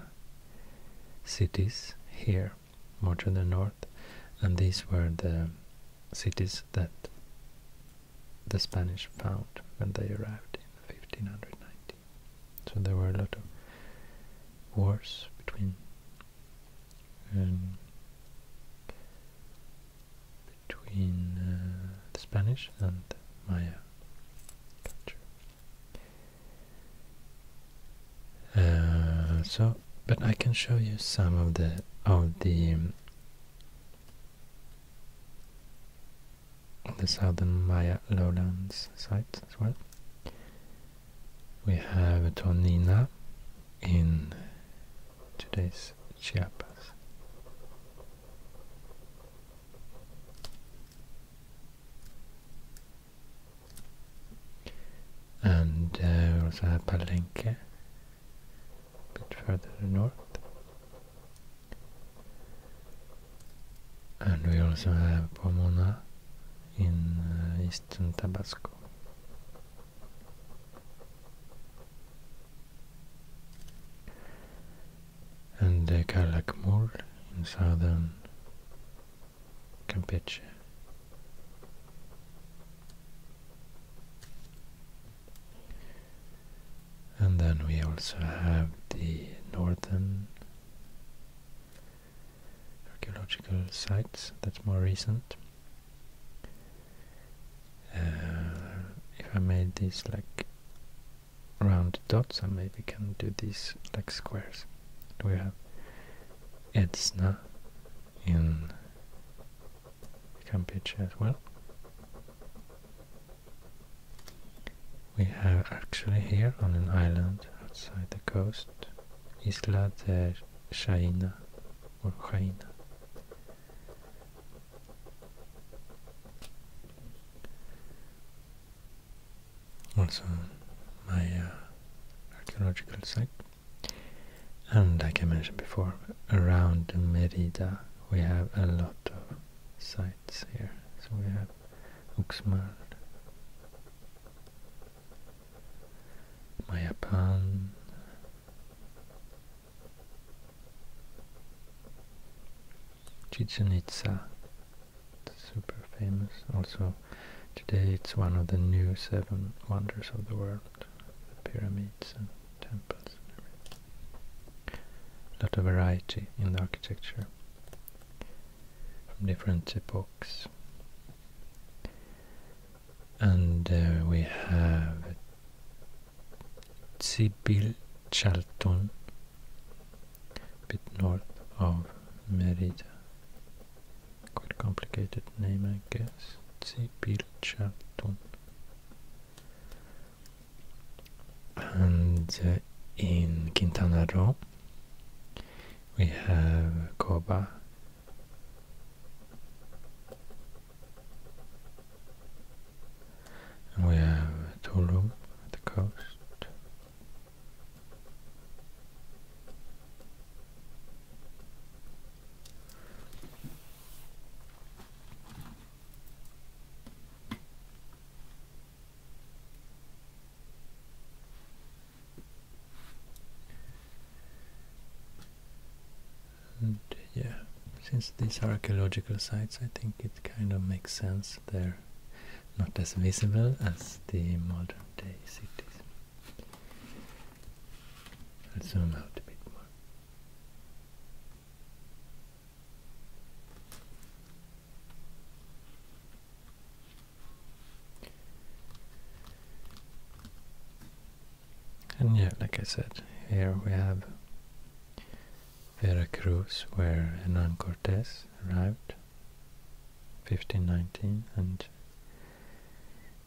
cities here, more to the north, and these were the cities that the Spanish found when they arrived in 1590. So there were a lot of wars between um, between uh, Spanish and Maya culture. Uh, so, but I can show you some of the of the um, the southern Maya lowlands sites as well. We have Tornina in today's Chiapas. And we also have Palenque, a bit further north. And we also have Pomona in uh, eastern Tabasco and the Calakmul in southern Campeche. And then we also have the northern archaeological sites, that's more recent. Uh, if I made these like round dots, I maybe can do these like squares. We have Edsna in Campeche as well. We have actually here on an island outside the coast, Isla de Shaina also, my archaeological site. And like I mentioned before, around Merida we have a lot of sites here. So we have Uxmal, Mayapan Chichen Itza super famous also today it's one of the new seven wonders of the world the pyramids and temples a lot of variety in the architecture from different epochs and uh, we have Sibyl Charlton, bit north of Merida. Quite complicated name, I guess. Sibyl Charlton. And uh, in Quintana Roo, we have Coba and we have Tulum at the coast. And yeah, since these are archaeological sites, I think it kind of makes sense they're not as visible as the modern day cities. I'll zoom out a bit more. And yeah, like I said, here we have Veracruz, where Hernan Cortes arrived, 1519, and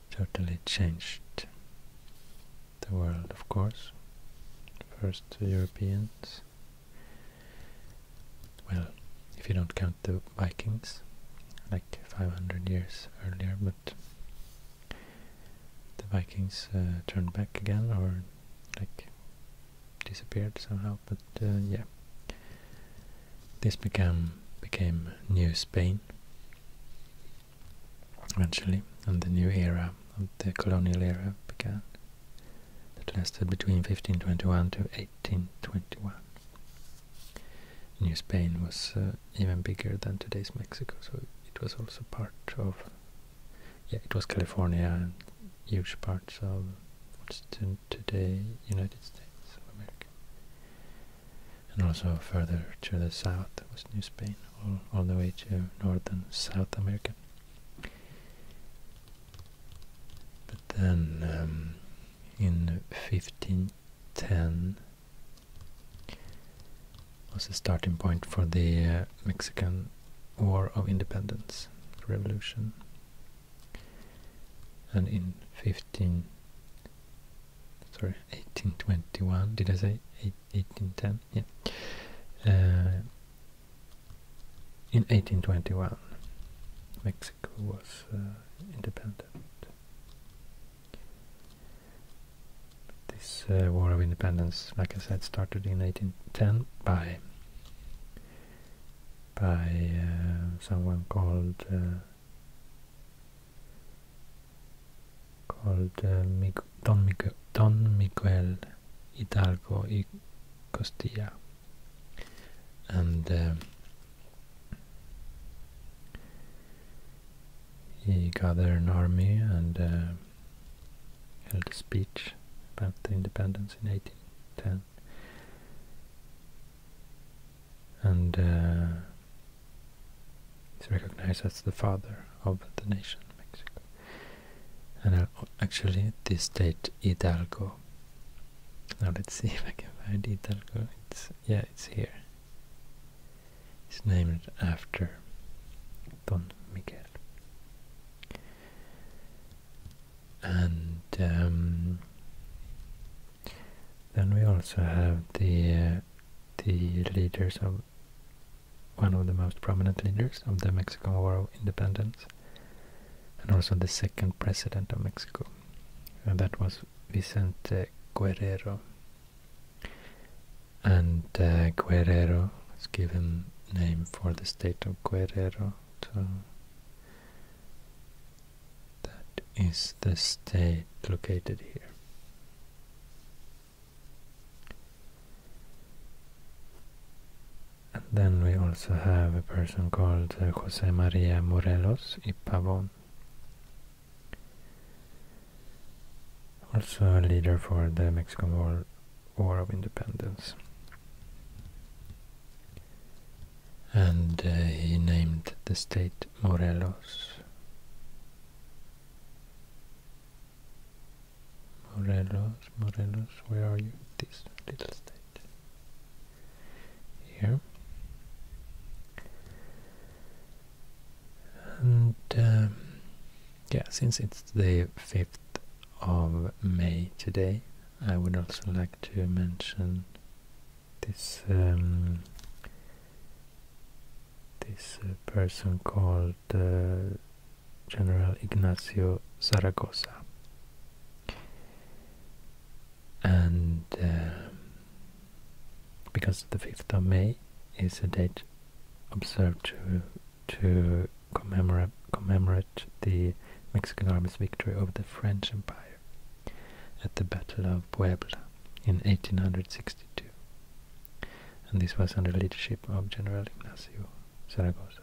totally changed the world, of course. First Europeans, well, if you don't count the Vikings, like 500 years earlier, but the Vikings uh, turned back again or like disappeared somehow. But uh, yeah, this became became New Spain eventually, and the new era of the colonial era began that lasted between 1521 to 1821. New Spain was uh, even bigger than today's Mexico, so it was also part of, yeah, it was California and huge parts of what's today United States of America. And also further to the south was New Spain, all, all the way to northern South America. But then um, in 1510 was the starting point for the uh, Mexican War of Independence revolution. And in 15 sorry, 1821, did I say 1810? Yeah. Uh, in 1821, Mexico was uh, independent. This uh, War of Independence, like I said, started in 1810 by by uh, someone called uh, called Don, Miguel Hidalgo y Costilla, and he gathered an army and uh, held a speech about the independence in 1810. And uh, he's recognized as the father of the nation, Mexico. And uh, actually, this state, Hidalgo. Now let's see if I can find Hidalgo. It's yeah, it's here is named after Don Miguel. And um, then we also have the uh, the leaders of one of the most prominent leaders of the Mexican War of Independence, and also the second president of Mexico, and that was Vicente Guerrero and uh, Guerrero, let's give him name for the state of Guerrero. that is the state located here. And then we also have a person called uh, Jose Maria Morelos y Pavón also a leader for the Mexican War, of Independence. And uh, he named the state Morelos. Morelos, Morelos, where are you? This little state. Here. And um, yeah, since it's the 5th of May today, I would also like to mention this um, this uh, person called uh, General Ignacio Zaragoza, and um, because the 5th of May is a date observed to, to commemorate, commemorate the Mexican army's victory over the French Empire at the Battle of Puebla in 1862. And this was under the leadership of General Ignacio Zaragoza.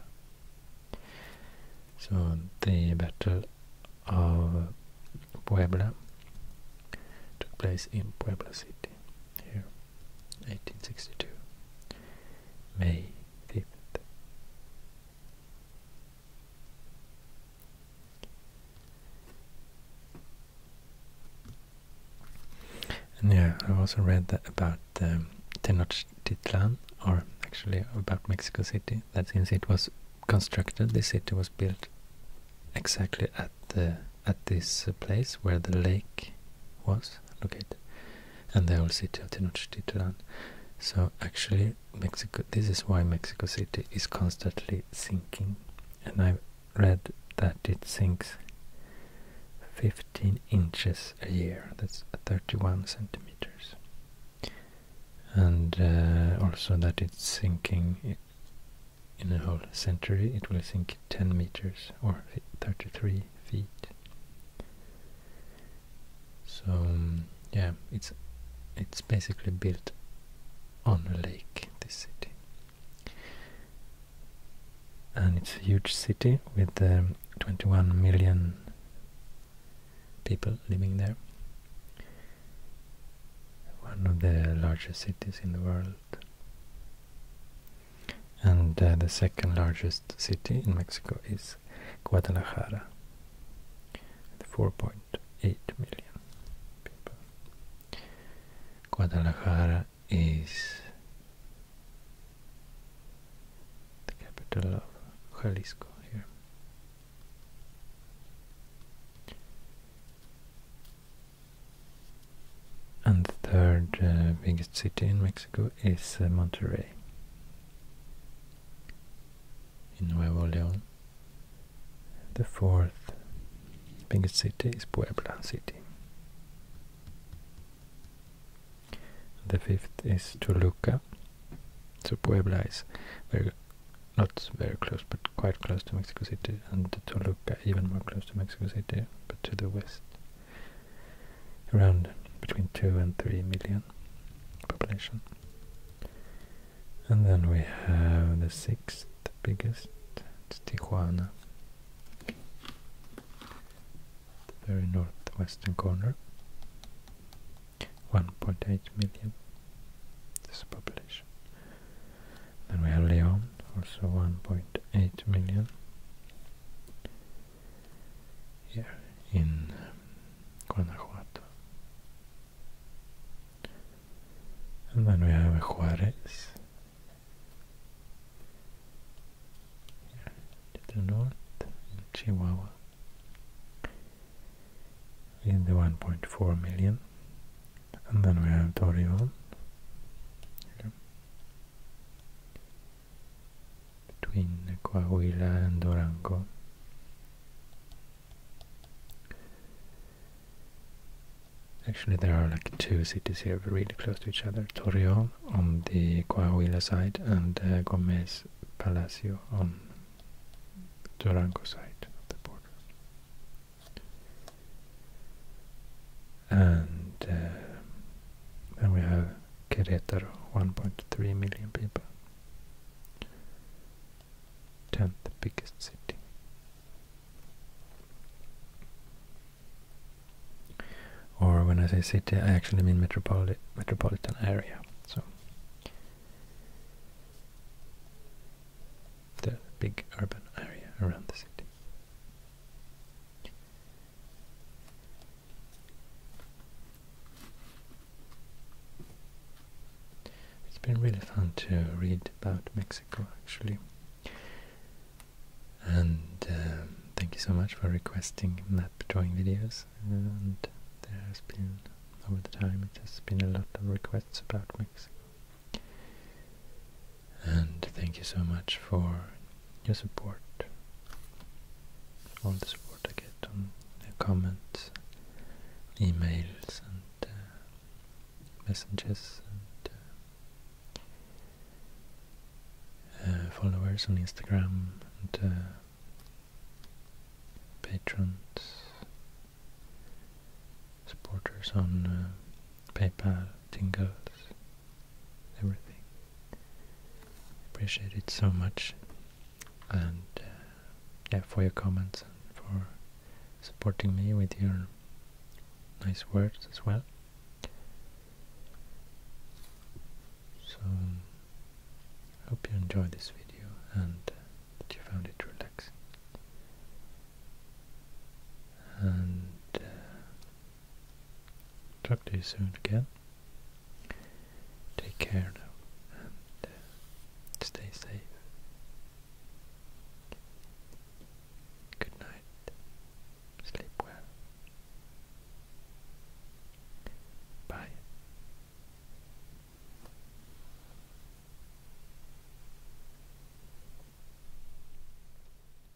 So the Battle of Puebla took place in Puebla City here, 1862, May 5th. And yeah, I've also read that about um, Tenochtitlan, or actually about Mexico City, that since it was constructed, the city was built exactly at at the at this uh, place where the lake was located, and the old city of Tenochtitlan. So actually, Mexico. This is why Mexico City is constantly sinking, and I've read that it sinks 15 inches a year. That's 31 centimeters, and uh, also that it's sinking in a whole century it will sink 10 meters or 33 feet. So yeah, it's it's basically built on a lake, this city. And it's a huge city with um, 21 million people living there. One of the largest cities in the world. And uh, the second largest city in Mexico is Guadalajara, 4.8 million people. Guadalajara is the capital of Jalisco here. And the third uh, biggest city in Mexico is uh, Monterrey in Nuevo León. The fourth biggest city is Puebla City. The fifth is Toluca. So Puebla is very not very close, but quite close to Mexico City. City and Toluca even more close to Mexico City, but to the west, around between 2 and 3 million population. And then we have the sixth biggest, Tijuana, the very northwestern corner, 1.8 million, this population. Then we have Leon, also 1.8 million. Here in Guanajuato. And then we have Juarez. Here to the north Chihuahua. In the 1.4 million and then we have Torreon Between Coahuila and Durango. Actually, there are like two cities here really close to each other. Torreon on the Coahuila side and uh, Gomez Palacio on Durango side of the border. And uh, we have Querétaro, 1.3 million people. 10th biggest city. Or when I say city, I actually mean metropoli metropolitan area. So the big urban area around the city. It's been really fun to read about Mexico actually. And um, thank you so much for requesting map drawing videos. And there has been, over the time, it has been a lot of requests about Mexico. And thank you so much for your support, all the support I get on the comments, emails, and uh, messages, and uh, uh, followers on Instagram, and patrons, supporters on PayPal, Tingles, everything. Appreciate it so much, and uh, yeah, for your comments and for supporting me with your nice words as well. So, hope you enjoyed this video and uh, that you found it relaxing and uh, talk to you soon again. Take care now and uh, stay safe. Good night. Sleep well. Bye.